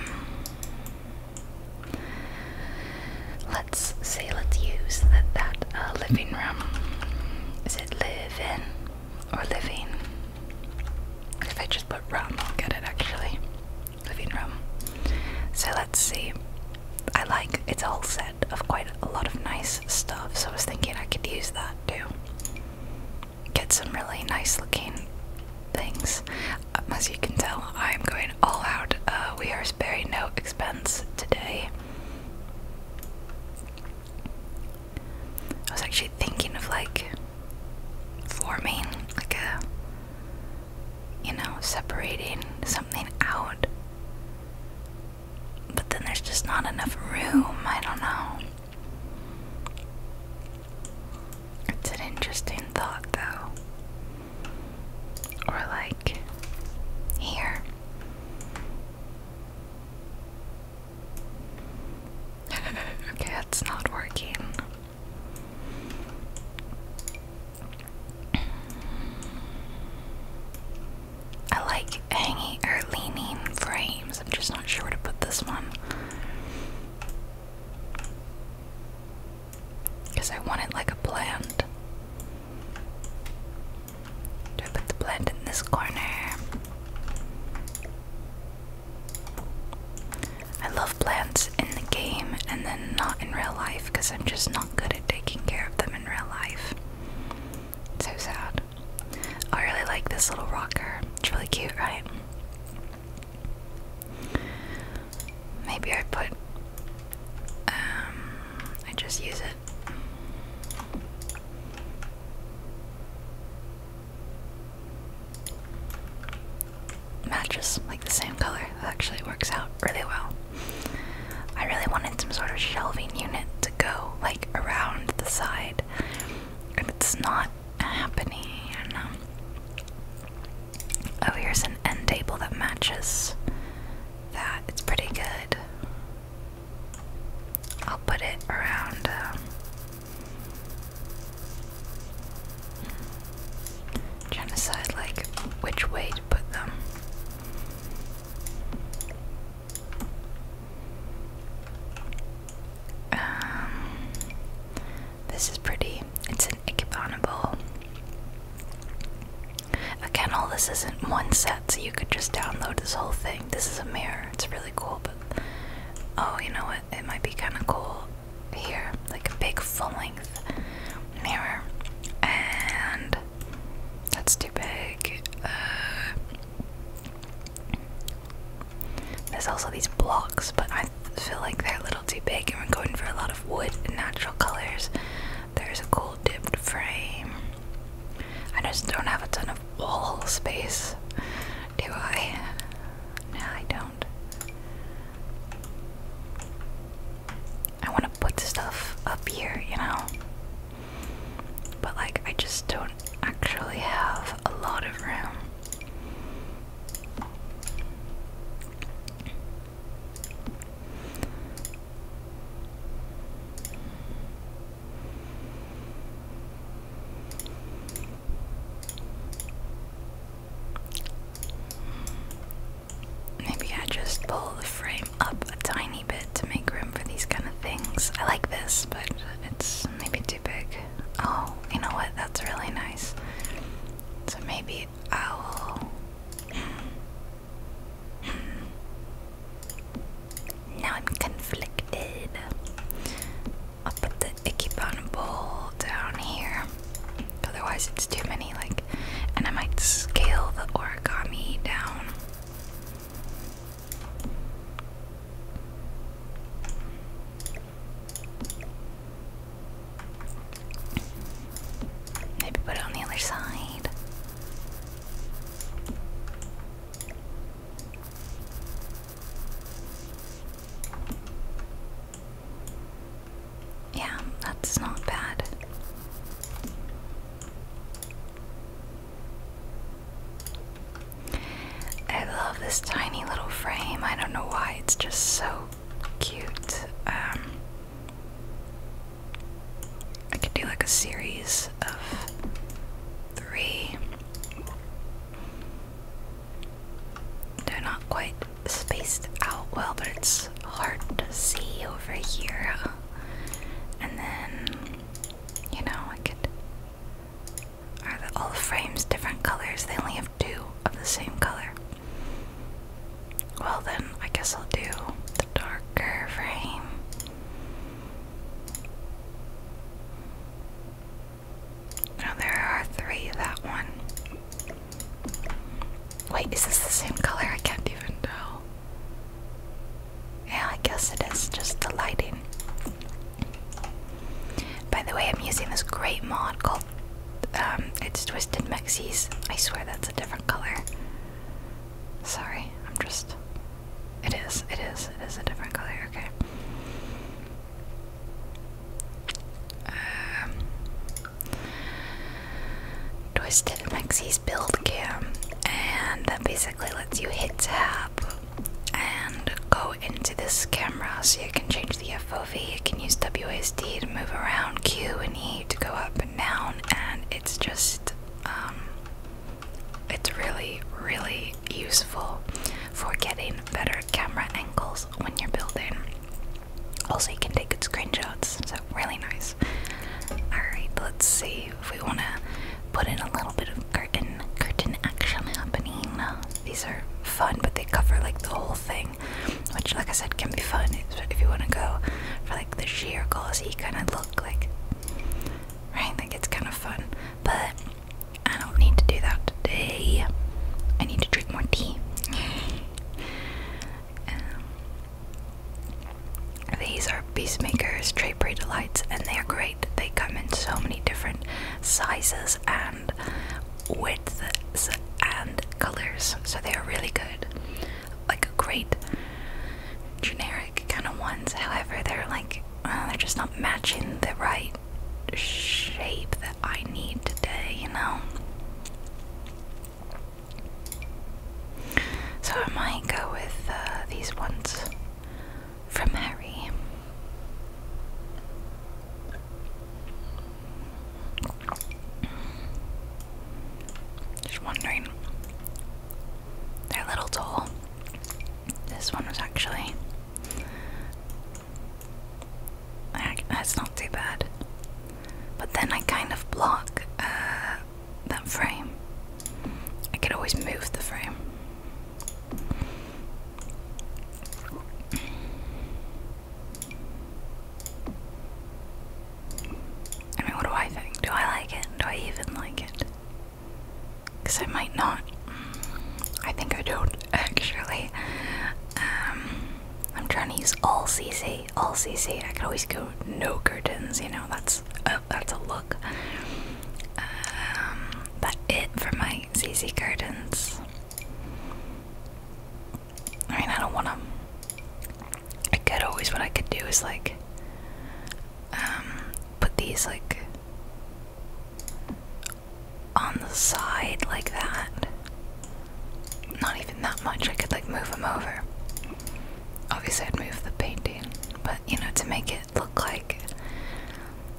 let's say let's use that that uh, living room. Is it living or living? If I just put room, I'll get it actually. Living room. So let's see. I like it's all set of quite a lot of nice stuff, so I was thinking I could use that too. Get some really nice looking things. Um, as you can tell, I'm going all out. Uh, we are sparing no expense today. I was actually thinking of like forming like a you know separating something out but then there's just not enough room. I don't know. It's an interesting thought, though. Or, like, here. okay, that's not working. I like hanging or leaning frames. I'm just not sure where to put this one. Because I want it like a plant. Do I put the plant in this corner? I love plants in the game and then not in real life because I'm just not good at taking care of them in real life. So sad. I really like this little rocker. It's really cute, right? Maybe I put. Um, I just use it. Matches like the same color. actually works out really well. I really wanted some sort of shelving unit to go like around the side, and it's not happening. Um, oh, here's an end table that matches that. It's pretty good. I'll put it around. Um, Trying to decide like which way to put them. Um, this is pretty. It's an ikebana bowl. Again, all this isn't one set, so you could just download this whole thing. This is a mirror. It's really cool, but oh, you know what? It might be kind of cool here, like a big full-length mirror, and that's too big. Uh, there's also these blocks, but I feel like they're a little too big, and we're going for a lot of wood and natural colors. There's a cool dipped frame. I just don't have a ton of wall space, do I? No, I don't. I want to put stuff up here, you know? But like I just don't actually have a lot of room. Maybe I just pull frame up a tiny bit to make room for these kind of things. I like this, but it's maybe too big. Oh, you know what? That's really nice. So maybe I'll. Hmm. now I'm conflicted. I'll put the Ikebana bowl down here. Otherwise, it's too many. Like, and I might scale the origami down. Maybe put it on the other side. Yeah, that's not bad. I love this tiny little frame. I don't know why, it's just so cute. Um, I could do like a series of three. They're not quite spaced out well, but it's hard to see over here and then you know I could. Are all the frames different colors? They only have two of the same color. Well, then I guess I'll do the darker frame. Now there are three that one. Wait, is this the same color? I can't even tell. Yeah, I guess it is just the lighting. By the way, I'm using this great mod called um, it's Twisted Mexies. I swear that's a different color. Sorry, I'm just. It is, it is, it is a different color, okay. Um, Twisted Mixie's build cam, and that basically lets you hit tap and go into this camera so you can change the FOV. You can use WASD to move around, Q and E to go up and down, and it's just, um, it's really, really useful for getting better camera angles when you're building. Also, you can take good screenshots, so really nice. Alright, let's see if we want to put in a little bit of curtain curtain action happening. These are fun, but they cover like the whole thing, which, like I said, can be fun if you want to go for like the sheer glossy kind of look. Like, right? Like it's kind of fun, but I don't need to do that today. I need to drink more tea. Um, these are Peacemakers Trey Prey Delights, and they are great. They come in so many different sizes and widths and colors, so they are really good. Like great generic kind of ones, however, they're like uh, they're just not matching the right shape that I need today, you know. So I might go with uh, these ones from Harry. Just wondering. They're a little tall. This one was actually. That's not too bad. But then I kind of block uh, that frame. I can always move the frame. I mean, what do I think? Do I like it? Do I even like it? Because I might not. I think I don't actually. Um, I'm trying to use all CC, all CC. I can always go no curtains, you know, that's oh, that's a look. Um, that it for my ZZ curtains. I mean, I don't want to. I could always. What I could do is like, um, put these like on the side like that. Not even that much. I could like move them over obviously I'd move the painting, but you know, to make it look like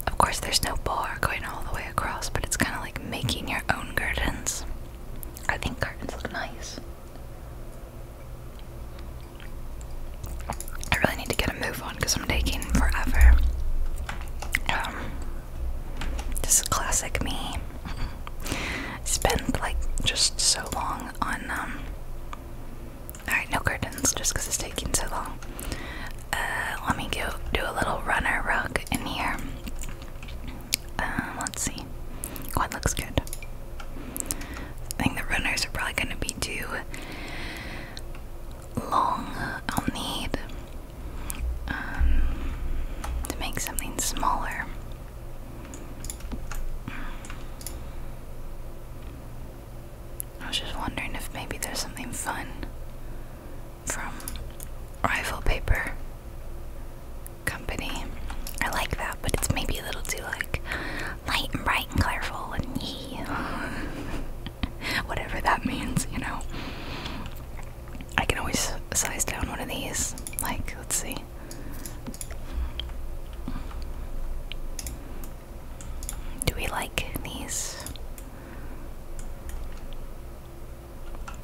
of course there's no bar going all the way across, but it's kinda like making your own curtains. I think curtains look nice. I really need to get a move on because I'm taking forever. Um, this is classic me. Spend like just so long on um, Alright, no curtains just because it's taking so long. Uh, let me go do a little runner rug in here. Um, let's see. what oh, looks good. I think the runners are probably going to be too long. I'll need um, to make something smaller. I was just wondering if maybe there's something fun from Rifle Paper Company. I like that, but it's maybe a little too like light and bright and colorful and yee. Whatever that means, you know. I can always size down one of these. Like, let's see. Do we like these?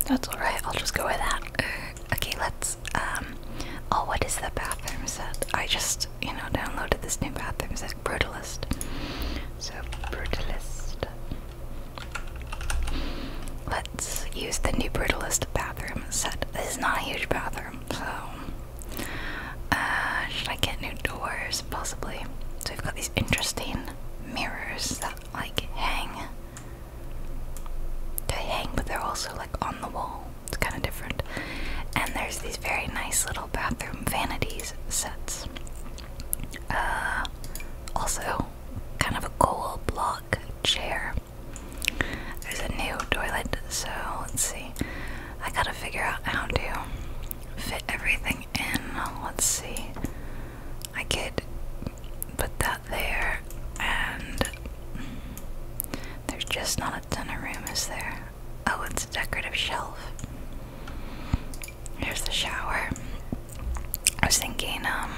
That's alright, I'll just go with that. Uh, okay, let's, um, oh, what is the bathroom set? I just, you know, downloaded this new bathroom set, Brutalist. So, Brutalist. Let's use the new Brutalist bathroom set. This is not a huge bathroom, so uh, should I get new doors? Possibly. So we've got these interesting mirrors that like hang. They hang, but they're also like on the wall. It's kind of different. And there's these very nice little bathroom vanities sets. Uh, also, kind of a goal block chair. There's a new toilet, so let's see. I gotta figure out how to fit everything in. Let's see. I could put that there, and there's just not a ton of room, is there? Oh, it's a decorative shelf. Here's the shower. I was thinking, um,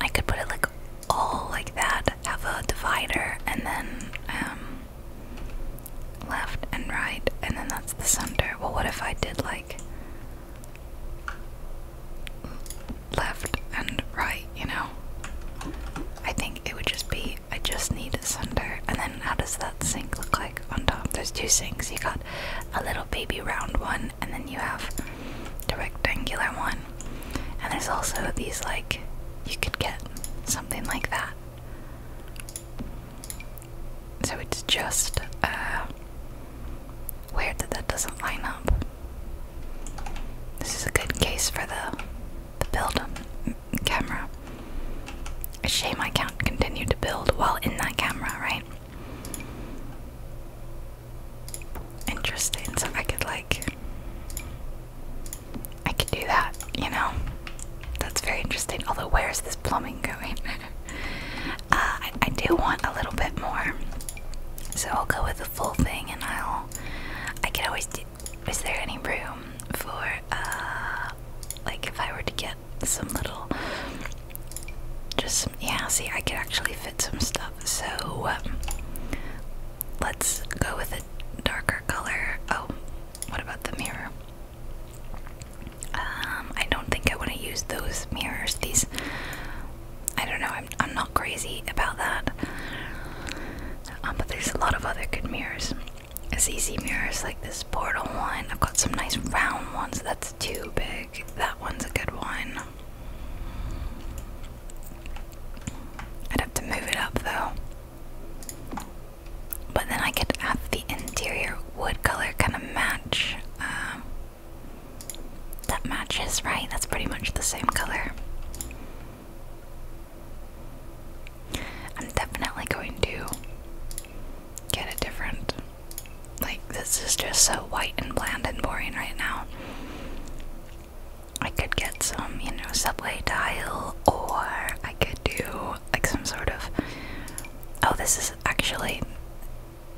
I could put it like all like that have a divider and then um, left and right and then that's the center. Well what if I did like left and right, you know? I think it would just be I just need a center and then how does that sink look like on top? There's two sinks. You got a little baby round one and then you have the rectangular one. And there's also these, like, you could get something like that. So it's just uh, weird that that doesn't line up. This is a good case for the the build camera. A shame I can't continue to build while in that camera, right? Interesting. So I could like I could do that, you know? That's very interesting. Although, where's this plumbing going? Uh, I, do want a little bit more. So I'll go with the full thing and I'll. I could always do. Is there any room for, uh, like if I were to get some little. Just some. Yeah, see, I could actually fit some stuff. So. Um, let's go with a darker color. Oh, what about the mirror? Um, I don't think I want to use those mirrors. These, I don't know. I'm I'm not crazy about that. Um, but there's a lot of other good mirrors. ZZ mirrors like this portal one. I've got some nice round ones. That's too big. That one's a good one. I'd have to move it up though. But then I could have the interior wood color kind of match. Um, that matches, right? That's pretty much the same color. I'm definitely going to get a different. Like, this is just so white and bland and boring right now. I could get some, you know, subway tile, or I could do like some sort of. Oh, this is actually.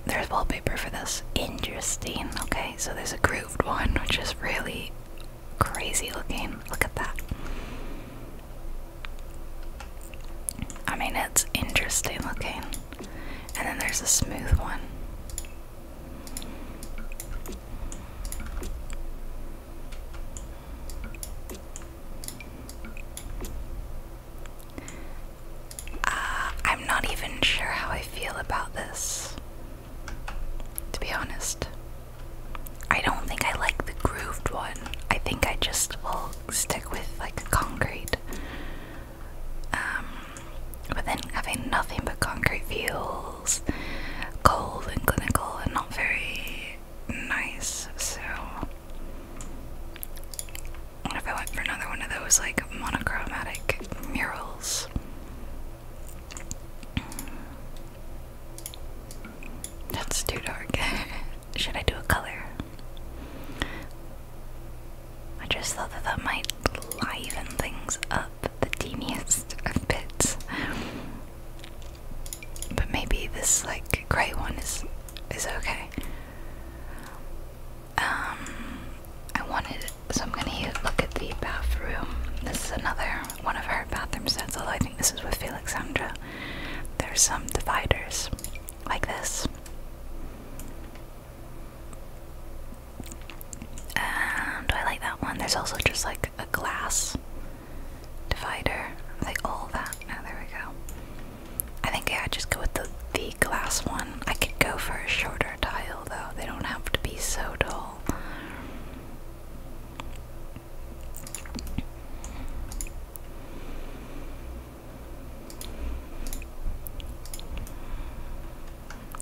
There's wallpaper for this. Interesting. Okay, so there's a grooved one, which is really crazy looking. Look at that. I mean, it's interesting looking. And then there's a smooth one. Uh, I'm not even sure how I feel about this. To be honest, I don't think I like the grooved one. I think I just will stick with like concrete. Um, but then having nothing but concrete feels cold and clinical and not very nice. So, what if I went for another one of those like monochromatic murals? That's too dark. Should I do a color? I just thought that that might liven things up the teeniest of bits. But maybe this like grey one is is okay. Um, I wanted so I'm gonna look at the bathroom. This is another one of her bathroom sets. Although I think this is with Felixandra. There's some dividers like this. And I like that one. There's also just like a glass divider. Are they all that? Now oh, there we go. I think yeah, I just go with the the glass one. I could go for a shorter tile though. They don't have to be so tall.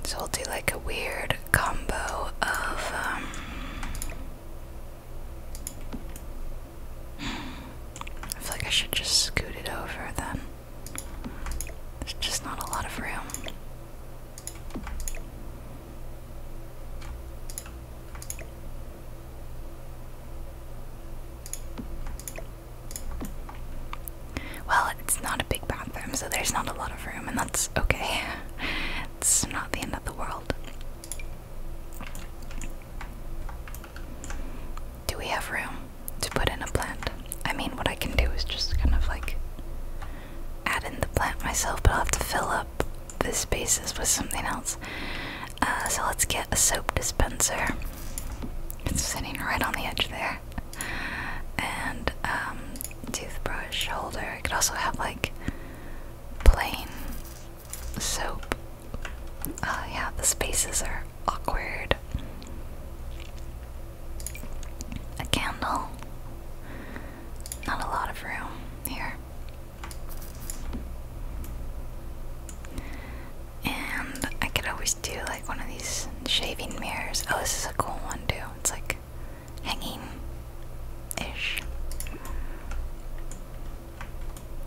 So we'll do like a weird combo of um, I feel like I should just scoot it over then. There's just not a lot of room. Well, it's not a big bathroom, so there's not a lot of room, and that's okay. It's not the end of the world. Do we have room to put in a plant? I mean, what I can do is just kind of like add in the plant myself, but I'll have to fill up the spaces with something else. Uh, so let's get a soap dispenser. It's sitting right on the edge there. And um, toothbrush holder. I could also have like plain soap. Uh, yeah, the spaces are awkward. A candle. Not a lot of room here. And I could always do like one of these shaving mirrors. Oh, this is a cool one too. It's like hanging ish.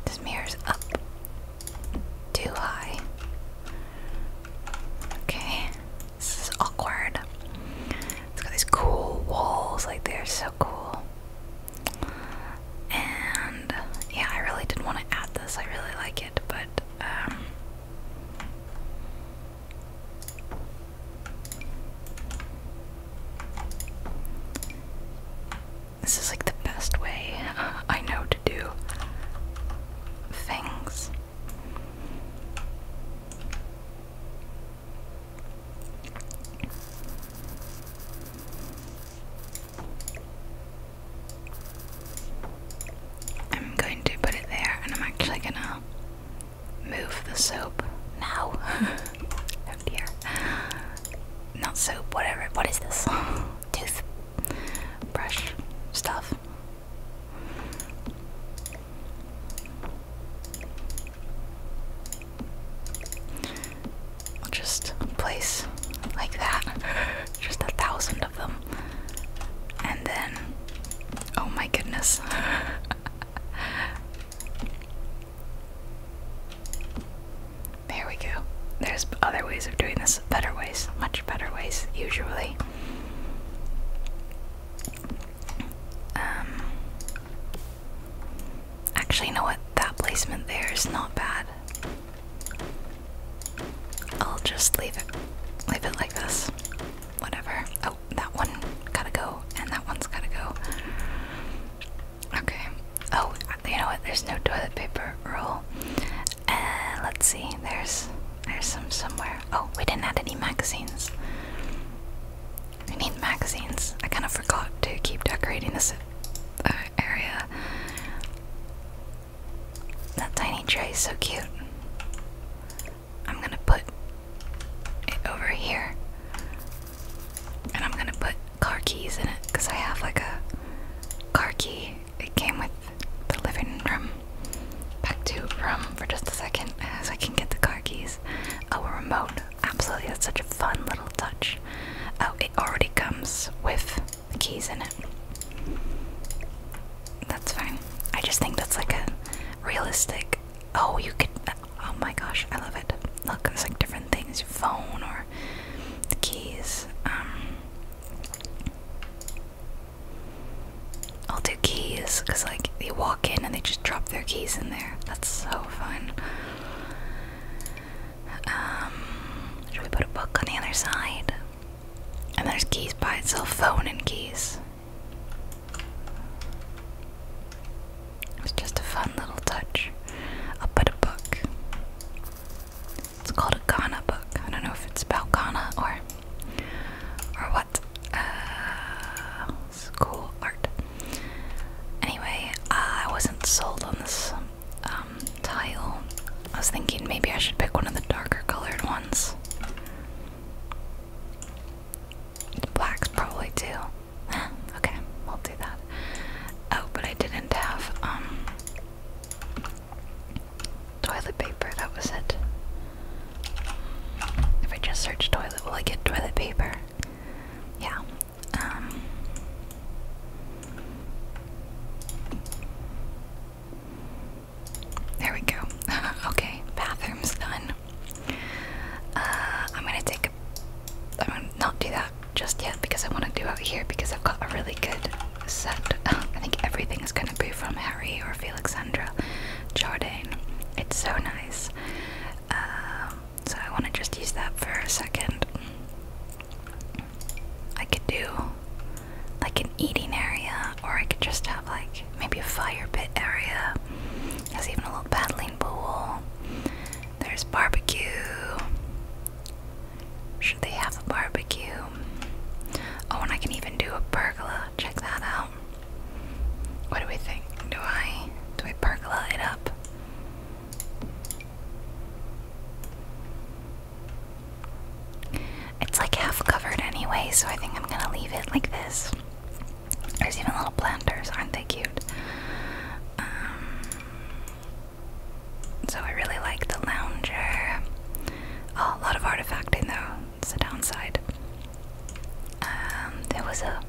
This mirror's up too high. Okay, this is awkward. It's got these cool walls, like they're so cool. And yeah, I really did want to add this. I really like it, but um this is like the best way I know to do things. I'm going to put it there and I'm actually gonna move the soap now. oh dear. Not soap, whatever. What is this? Tooth stuff. I'll just place like that. just a thousand of them. And then, oh my goodness. There we go. There's other ways of doing this, better ways, much better ways, usually. Um, actually, you know what? That placement there is not bad. I'll just leave it, leave it like this. Whatever. Oh, that one gotta go, and that one's gotta go. Okay. Oh, you know what? There's no toilet paper roll. Uh, let's see. There's there's some somewhere. Oh, we didn't add any magazines. We need magazines. I kind of forgot to keep decorating this uh, area. That tiny tray is so cute. I'm gonna put over here. And I'm gonna put car keys in it because I have like a car key. It came with the living room. Back to room for just a second as I can get the car keys. Oh, remote. Absolutely, that's such a fun little touch. Oh, it already comes with the keys in it. That's fine. I just think that's like a realistic Oh, you could. Oh my gosh, I love it. Look, there's like different things your phone or the keys. Um, I'll do keys because, like, they walk in and they just drop their keys in there. That's so fun. Um, should we put a book on the other side? And there's keys by itself, phone and keys. It's just a fun little touch. I'll put a book. It's called a Ghana book. I don't know if it's about Ghana or or what. Uh, cool art. Anyway, I wasn't sold on this um, tile. I was thinking maybe I should pick one of the darker colored ones. Blacks probably too. okay, we'll do that. Oh, but I didn't have um toilet paper. That was it. If I just search toilet, will I get toilet paper? Yeah. Um. There we go. okay, bathroom's done. Uh, I'm gonna take a. I'm gonna not do that just yet because I want to do out here because I've got a really good set. I think everything is gonna be from Harry or Felixandra Jardine. It's so nice. Um, so I want to just use that for a second. I could do like an eating area, or I could just have like maybe a fire pit area. There's even a little paddling pool. There's barbecue. Should they have a barbecue? Oh, and I can even do a pergola. Check that out. What do we think? Do I do I pergola it up? It's like half covered anyway, so I think I'm gonna leave it like this. There's even little planters, aren't they cute? Um, so I really like the lounger. Oh, a lot of artifacting though. It's the downside. Um, there was a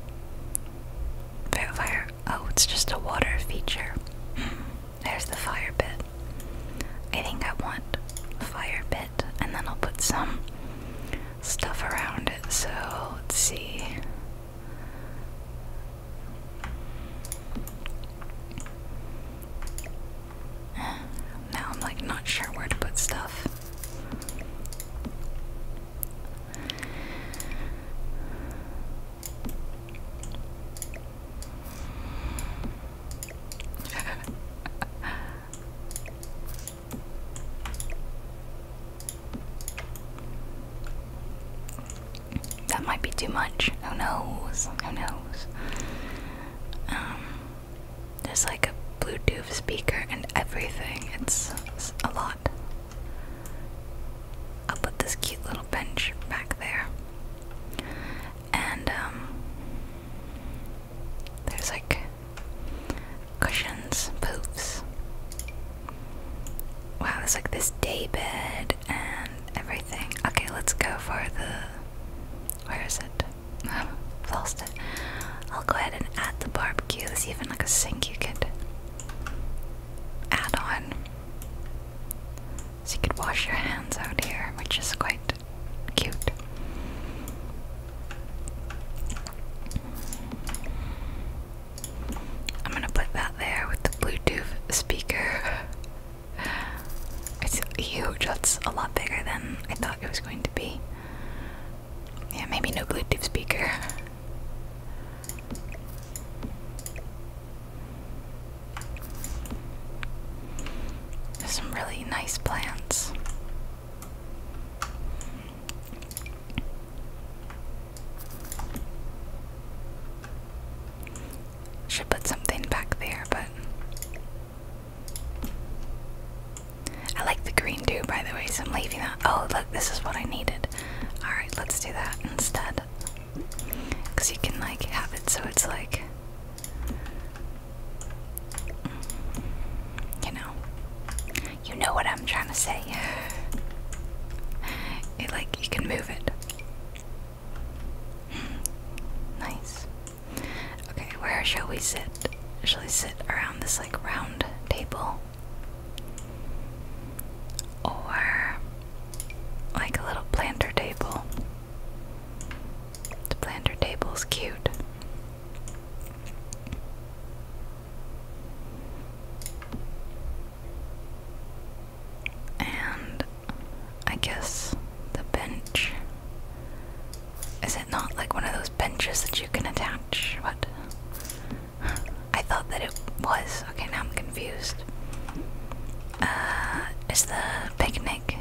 fire. Oh, it's just a water feature. Hmm. There's the fire bit. I think I want fire bit, and then I'll put some stuff around it. So let's see. Now I'm like not sure where to put stuff. That might be too much. Who knows? Who knows? Um, there's like a Bluetooth speaker and everything. It's, a lot. I'll put this cute little bench back there. And um, there's like cushions, poofs. Wow, there's like this day and everything. Okay, let's go for the. Where is it? Oh, I've lost it. I'll go ahead and add the barbecue. There's even like a sink you could add on. So you could wash your hands out here, which is quite cute. I'm gonna put that there with the Bluetooth speaker. It's huge, that's a lot bigger than I thought it was going to be. Yeah, maybe no Bluetooth speaker. There's some really nice plants. Should put something back there, but I like the green too, by the way, so I'm leaving that. Oh, look, this is what I needed. Alright, let's do that instead. Because you can, like, have it so it's like. You know, you know what I'm trying to say. like you can move it. Hmm. nice. Okay, where shall we sit? Shall we sit around this like round table? Or like a little planter table. The planter table's cute. And I guess the bench. Is it not like one of those benches that you can attach? What? I thought that it was. Okay, now I'm confused. Uh, is the picnic?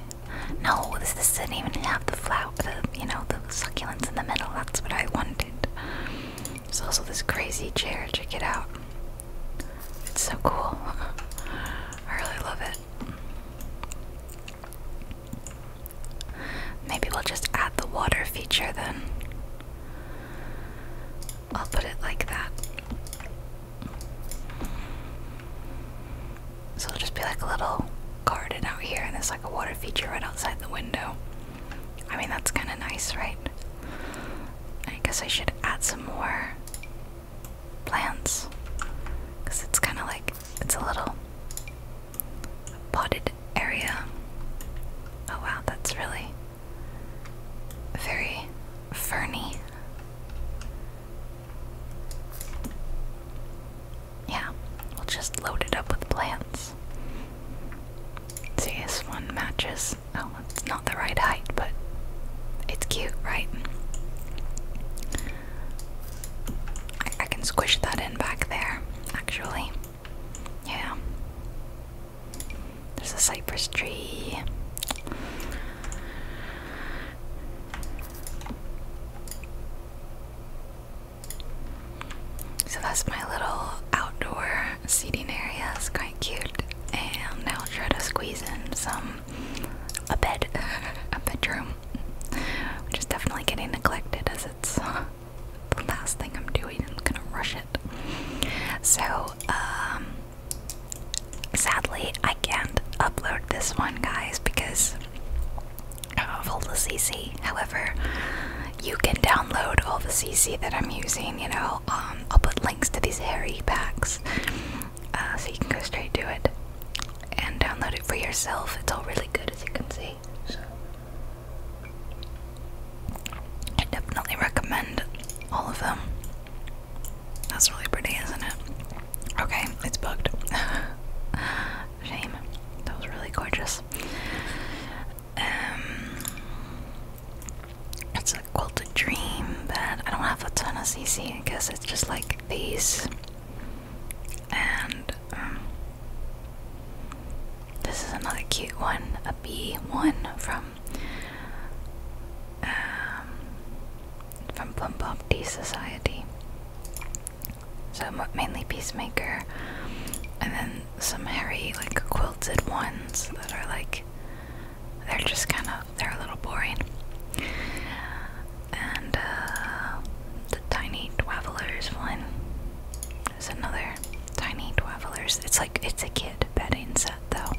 No, this, this didn't even have the flower, the, you know, the succulents in the middle. That's what I wanted. It's also this crazy chair. Check it out. It's so cool. I really love it. Maybe we'll just add the water feature then. I'll put it like that. So it'll just be like a little garden out here, and there's like a water feature right outside the window. I mean, that's kind of nice, right? I guess I should add some more plants because it's kind of like it's a little potted area. Oh wow, that's really very ferny. Yeah, we'll just load it up with plants. See, this one matches it's oh it's not the right height, but it's cute, right? I, can squish that in back there, actually. Yeah. There's a cypress tree. So that's my little outdoor seating area cute. And I'll try to squeeze in some a bed, a bedroom, which is definitely getting neglected as it's the last thing I'm doing. I'm gonna rush it. So, um, sadly, I can't upload this one, guys, because of all the CC. However, you can download all the CC that I'm using. You know, um, I'll put links to these hairy packs, uh, so you can go straight to it and download it for yourself. It's all really good, as you can see. So, I definitely recommend all of them. That's really pretty, isn't it? Okay, it's booked. Shame. That was really gorgeous. Um, it's a quilted dream, but I don't have a ton of CC. I guess it's just like these, and um, this is another cute one, a B one from um, from Plum Pop D Society. So mainly Peacemaker, and then some hairy like quilted ones that are like they're just kind of they're a little boring. And uh, the tiny travelers one is another tiny travelers. It's like it's a kid bedding set though.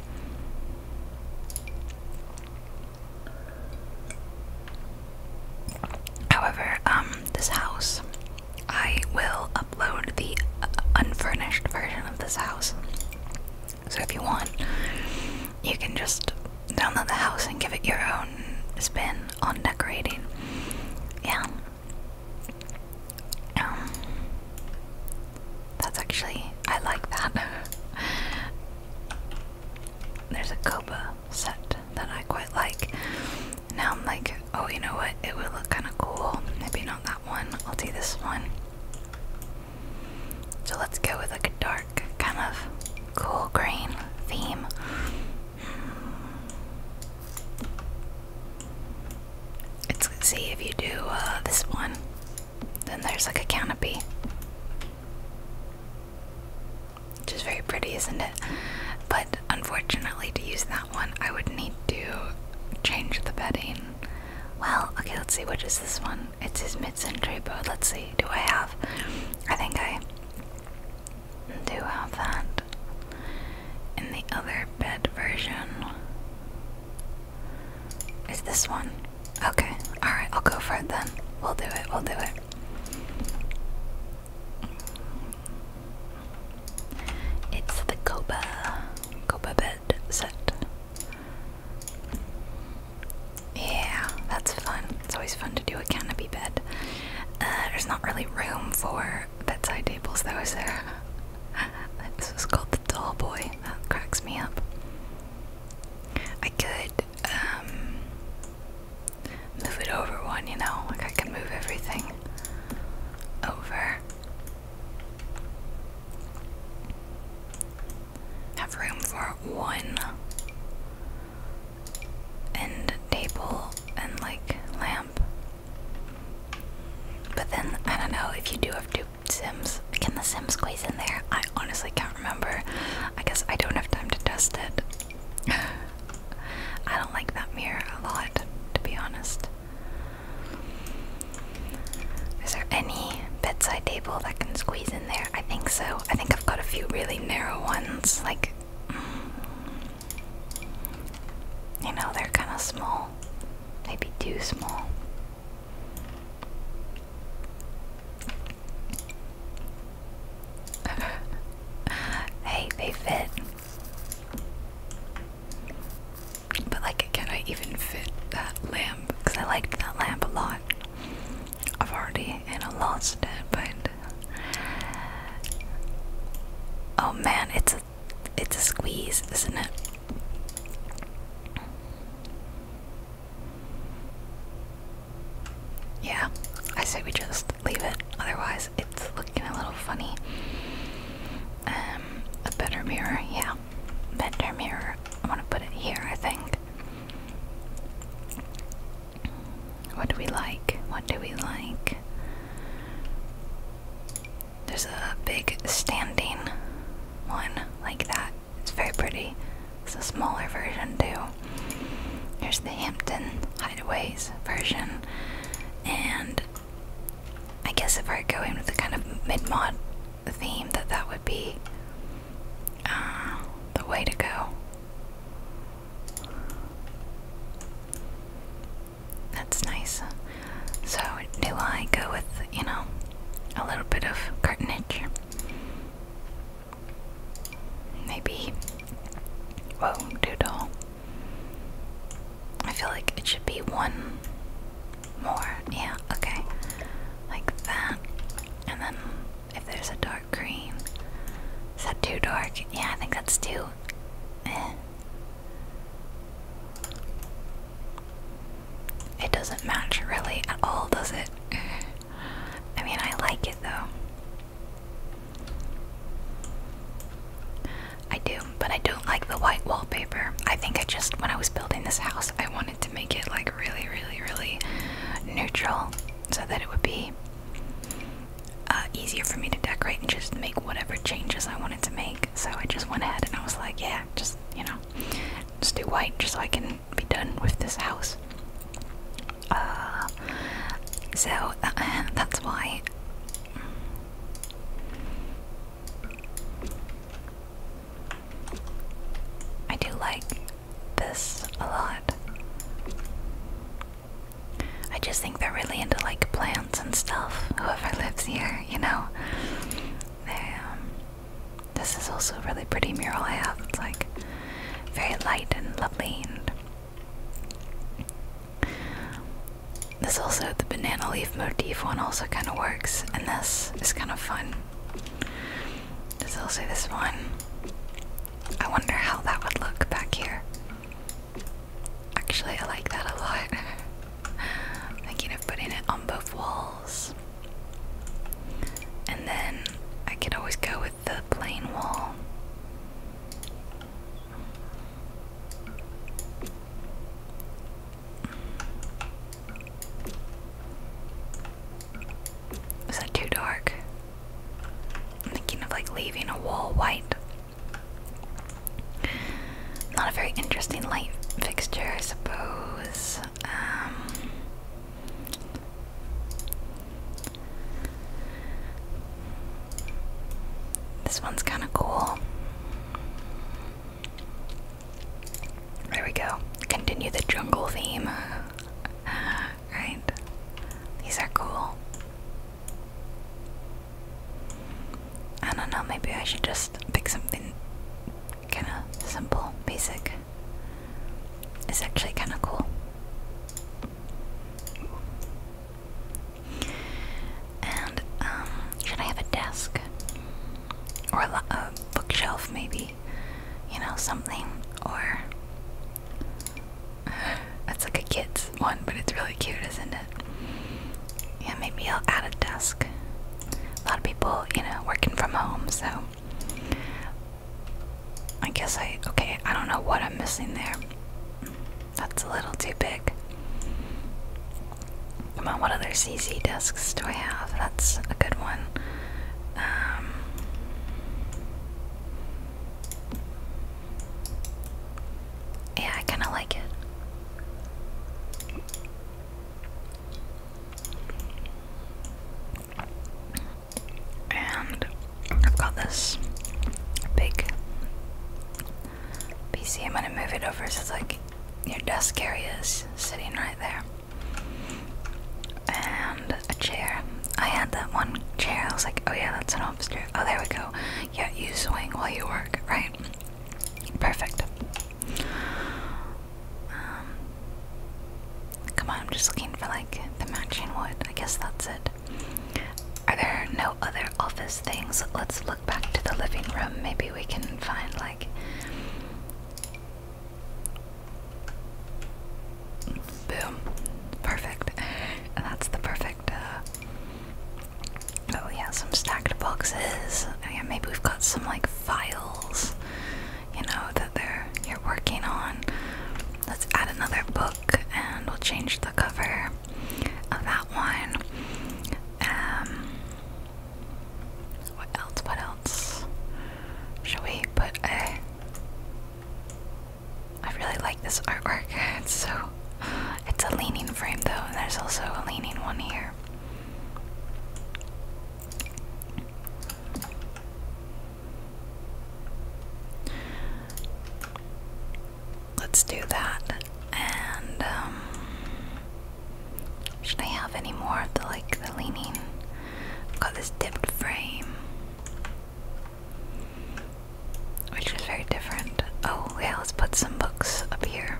However, um, this house I will upload the uh, unfurnished version of this house. So if you want, you can just download the house and give it your own spin on decorating. Yeah. Um, that's actually, I like that. There's a Copa set that I quite like. Now I'm like, oh, you know what? It would look kind of cool. Maybe not that one. I'll do this one. So let's go with like a dark, kind of cool green theme. Let's see if you do uh, this one, then there's like a canopy, which is very pretty, isn't it? But unfortunately, to use that one, I would need to change the bedding well, okay, let's see. Which is this one? It's his mid-century boat. Let's see. Do I have? I think I do have that in the other bed version. Is this one? Okay. All right. I'll go for it then. We'll do it. We'll do it. It's the Copa, Copa bed. Yeah, that's fun. It's always fun to do a canopy bed. Uh, there's not really room for bedside tables, though, is there? this is called the doll boy. That cracks me up. I could um, move it over one, you know? Like, I can move everything over. Have room for one and table and like lamp. But then I don't know if you do have two Sims. Can the Sims squeeze in there? I honestly can't remember. I guess I don't have time to test it. I don't like that mirror a lot, to be honest. Is there any bedside table that can squeeze in there? I think so. I think I've got a few really narrow ones. Like, mm. you know, they're kind of small. Maybe too small. hey, they fit. But like, can I even fit that lamp? Because I liked that lamp a lot. I've already, you know, lost it, but oh man, it's a, it's a squeeze, isn't it? Yeah, I say we just leave it. Otherwise, it's looking a little funny. Um, a better mirror, yeah not mirror. I want to put it here, I think. What do we like? What do we like? There's a big standing one like that. It's very pretty. It's a smaller version too. Here's the Hampton Hideaways version. And I guess if I go in with the kind of mid mod theme, that that would be uh, the way to go. That's nice. So, do I go with, you know, a little bit of cartonage? Maybe. Whoa, doodle. I feel like it should be one more. Yeah, okay. Like that. And then if there's a dark green. Is that too dark? Yeah, I think that's too. Eh. It doesn't match really at all, does it? I mean, I like it though. I do but I don't like the white wallpaper. I think I just, when I was building this house, I wanted to make it like really, really, really neutral so that it would be uh, easier for me to decorate and just make whatever changes I wanted to make. So I just went ahead and I was like, yeah, just, you know, just do white just so I can be done with this house. Uh, so uh, that's why. I do like this a lot. I just think they're really into like plants and stuff, whoever lives here, you know? Um, this is also a really pretty mural I have. It's like very light and lovely and this also, the banana leaf motif one also kind of works, and this is kind of fun. There's also this one. I wonder how that would look back here. Actually, I like that a lot. I'm thinking of putting it on both walls. And then I can always go with the plain wall. Is that too dark? I'm thinking of like leaving a wall white. Not a very interesting light fixture, I suppose. Um, this one's kind of cool. There we go. Continue the jungle theme. Uh, right. These are cool. I don't know, maybe I should just pick something kind of simple, basic. It's actually kind of cool. And, um, should I have a desk? or a uh, bookshelf maybe you know something or that's like a kid's one but it's really cute isn't it yeah maybe i'll add a desk a lot of people you know working from home so i guess i okay i don't know what i'm missing there that's a little too big Come on, what other CZ discs do I have? That's a good one. Um, yeah, I kind of like it. And I've got this big PC. I'm gonna move it over so it's like your desk area is sitting right there. And a chair. I had that one chair. I was like, oh yeah, that's an office chair. Oh, there we go. Yeah, you swing while you work, right? Perfect. Um, come on, I'm just looking for like the matching wood. I guess that's it. Are there no other office things? Let's look back to the living room. Maybe we can find like Boom. Perfect. that's the perfect, uh, oh yeah, some stacked boxes. Oh, yeah, maybe we've got some, like, files, you know, that they're, you're working on. Let's add another book, and we'll change the cover of that one. Um, what else? What else? Should we put a. I really like this artwork. It's so. It's a leaning frame though, and there's also a leaning one here. Let's do that. And, um, should I have any more of the like the leaning? I've got this dipped frame. Which is very different. Oh yeah, let's put some books up here.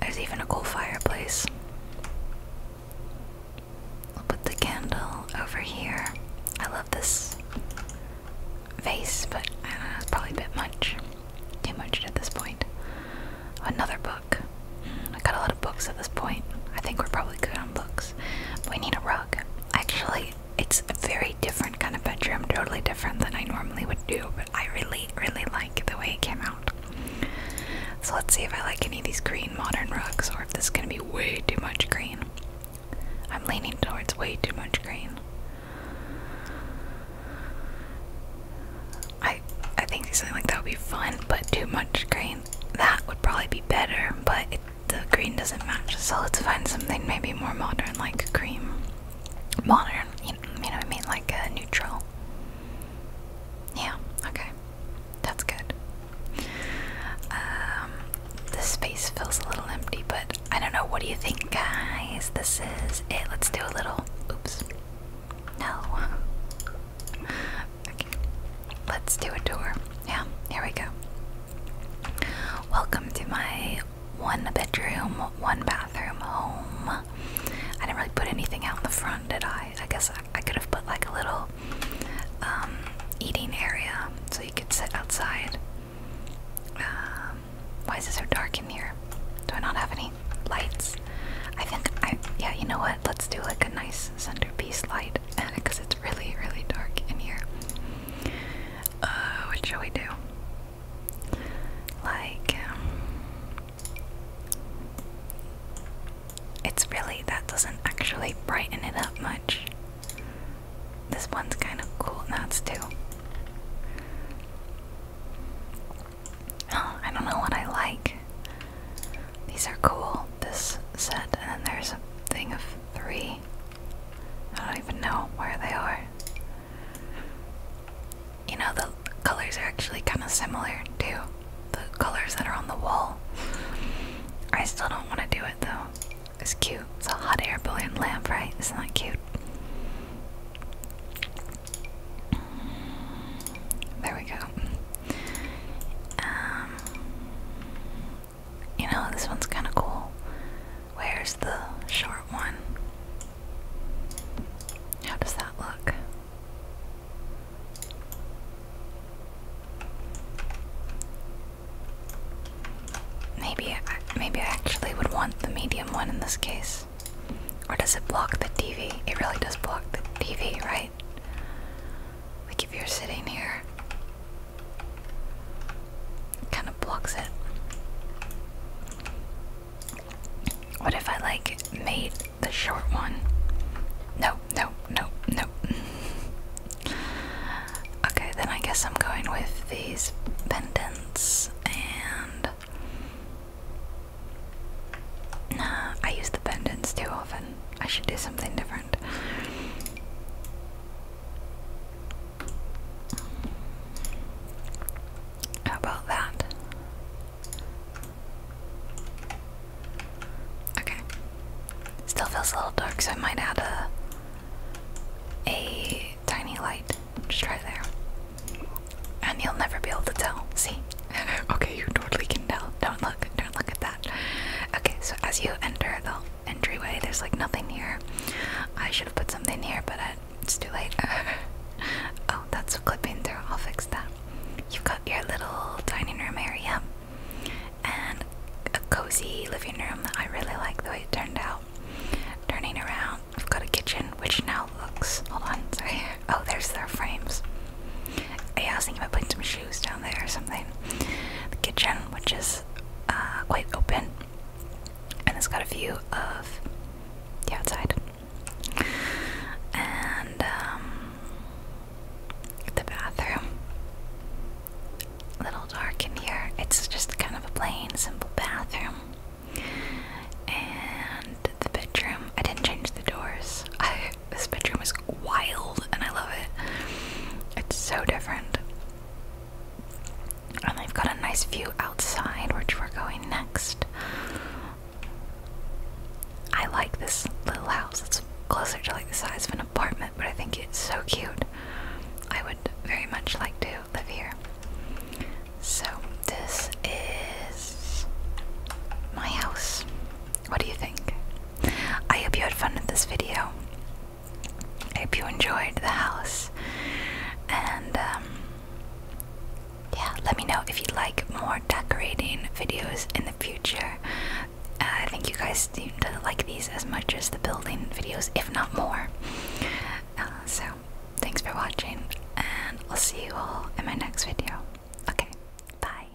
There's even a cool fireplace. I'll put the candle over here. I love this vase, but I don't know, it's probably a bit much. Too much at this point. Another book. Mm, I got a lot of books at this point. I think we're probably good on books. we need a rug. Actually, it's a very different kind of bedroom, totally different than I normally would do, but I really, really like the way it came out. So let's see if I like any of these green modern rugs or if this is gonna be way too much green. I'm leaning towards way too much green. I I think something like that would be fun, but too much green. That would probably be better, but the green doesn't match. So let's find something maybe more modern, like cream. Modern, you know, what I mean, like uh, neutral. Yeah. Okay. That's good. Um, this space feels a little empty, but I don't know. What do you think, guys? This is it. Let's do a little. Oops. No. Okay. Let's do a tour. Yeah, here we go. Welcome to my one bedroom, one bathroom home. I didn't really put anything out in the front, did I? I guess I, could have put like a little um, eating area so you could sit outside. Um, why is it so dark in here? Do I not have any lights? I think I. Yeah, you know what? Let's do like a nice centerpiece light because it's really, really dark in here. Uh, what shall we do? Like, um, it's really that doesn't actually brighten it up much. This one's kind of cool. That's too. Oh, I don't know what I like. These are cool, this set, and then there's a thing of three. I don't even know where they are. You know, the colors are actually kind of similar to the colors that are on the wall. I still don't want to do it though. It's cute. It's a hot air balloon lamp, right? Isn't that cute? There we go. Um, you know, this one's kind of cool. Where's the short one? How does that look? Maybe maybe I actually would want the medium one in this case. Or does it block the TV? It really does block the TV, right? Like if you're sitting here, kind of blocks it. What if I like made the short one? No, no, no, no. okay, then I guess I'm going with these pendants and I use the pendants too often. I should do something different. How about that? Okay. Still feels a little dark, so I might add a a tiny light. Just try there. And you'll never be able to tell. See? okay, you totally can tell. Don't look. Don't look at that. Okay, so as you enter the entryway, there's like nothing here. I should have put something here, but it's too late. oh, that's a clipping through. I'll fix that. You've got your little dining room area and a cozy living room. I really like the way it turned out. Turning around, we have got a kitchen which now looks. Hold on, sorry. Oh, there's their frames. I was thinking about putting some shoes down there or something. The kitchen, which is uh, quite open, and it's got a view of the outside. And um, the bathroom. little dark in here. It's just kind of a plain, simple bathroom. And the bedroom, I didn't change the doors. this bedroom is wild and I love it. It's so different. And they've got a nice view outside, which we're going next. I like this little house. It's closer to like the size of an apartment, but I think it's so cute. I would very much like to live here. So, this is my house. What do you think? I hope you had fun with this video. I hope you enjoyed the house. And, um, yeah, let me know if you'd like more decorating videos in the future. I think you guys seem to like these as much as the building videos, if not more. Uh, so, thanks for watching, and I'll see you all in my next video. Okay, bye.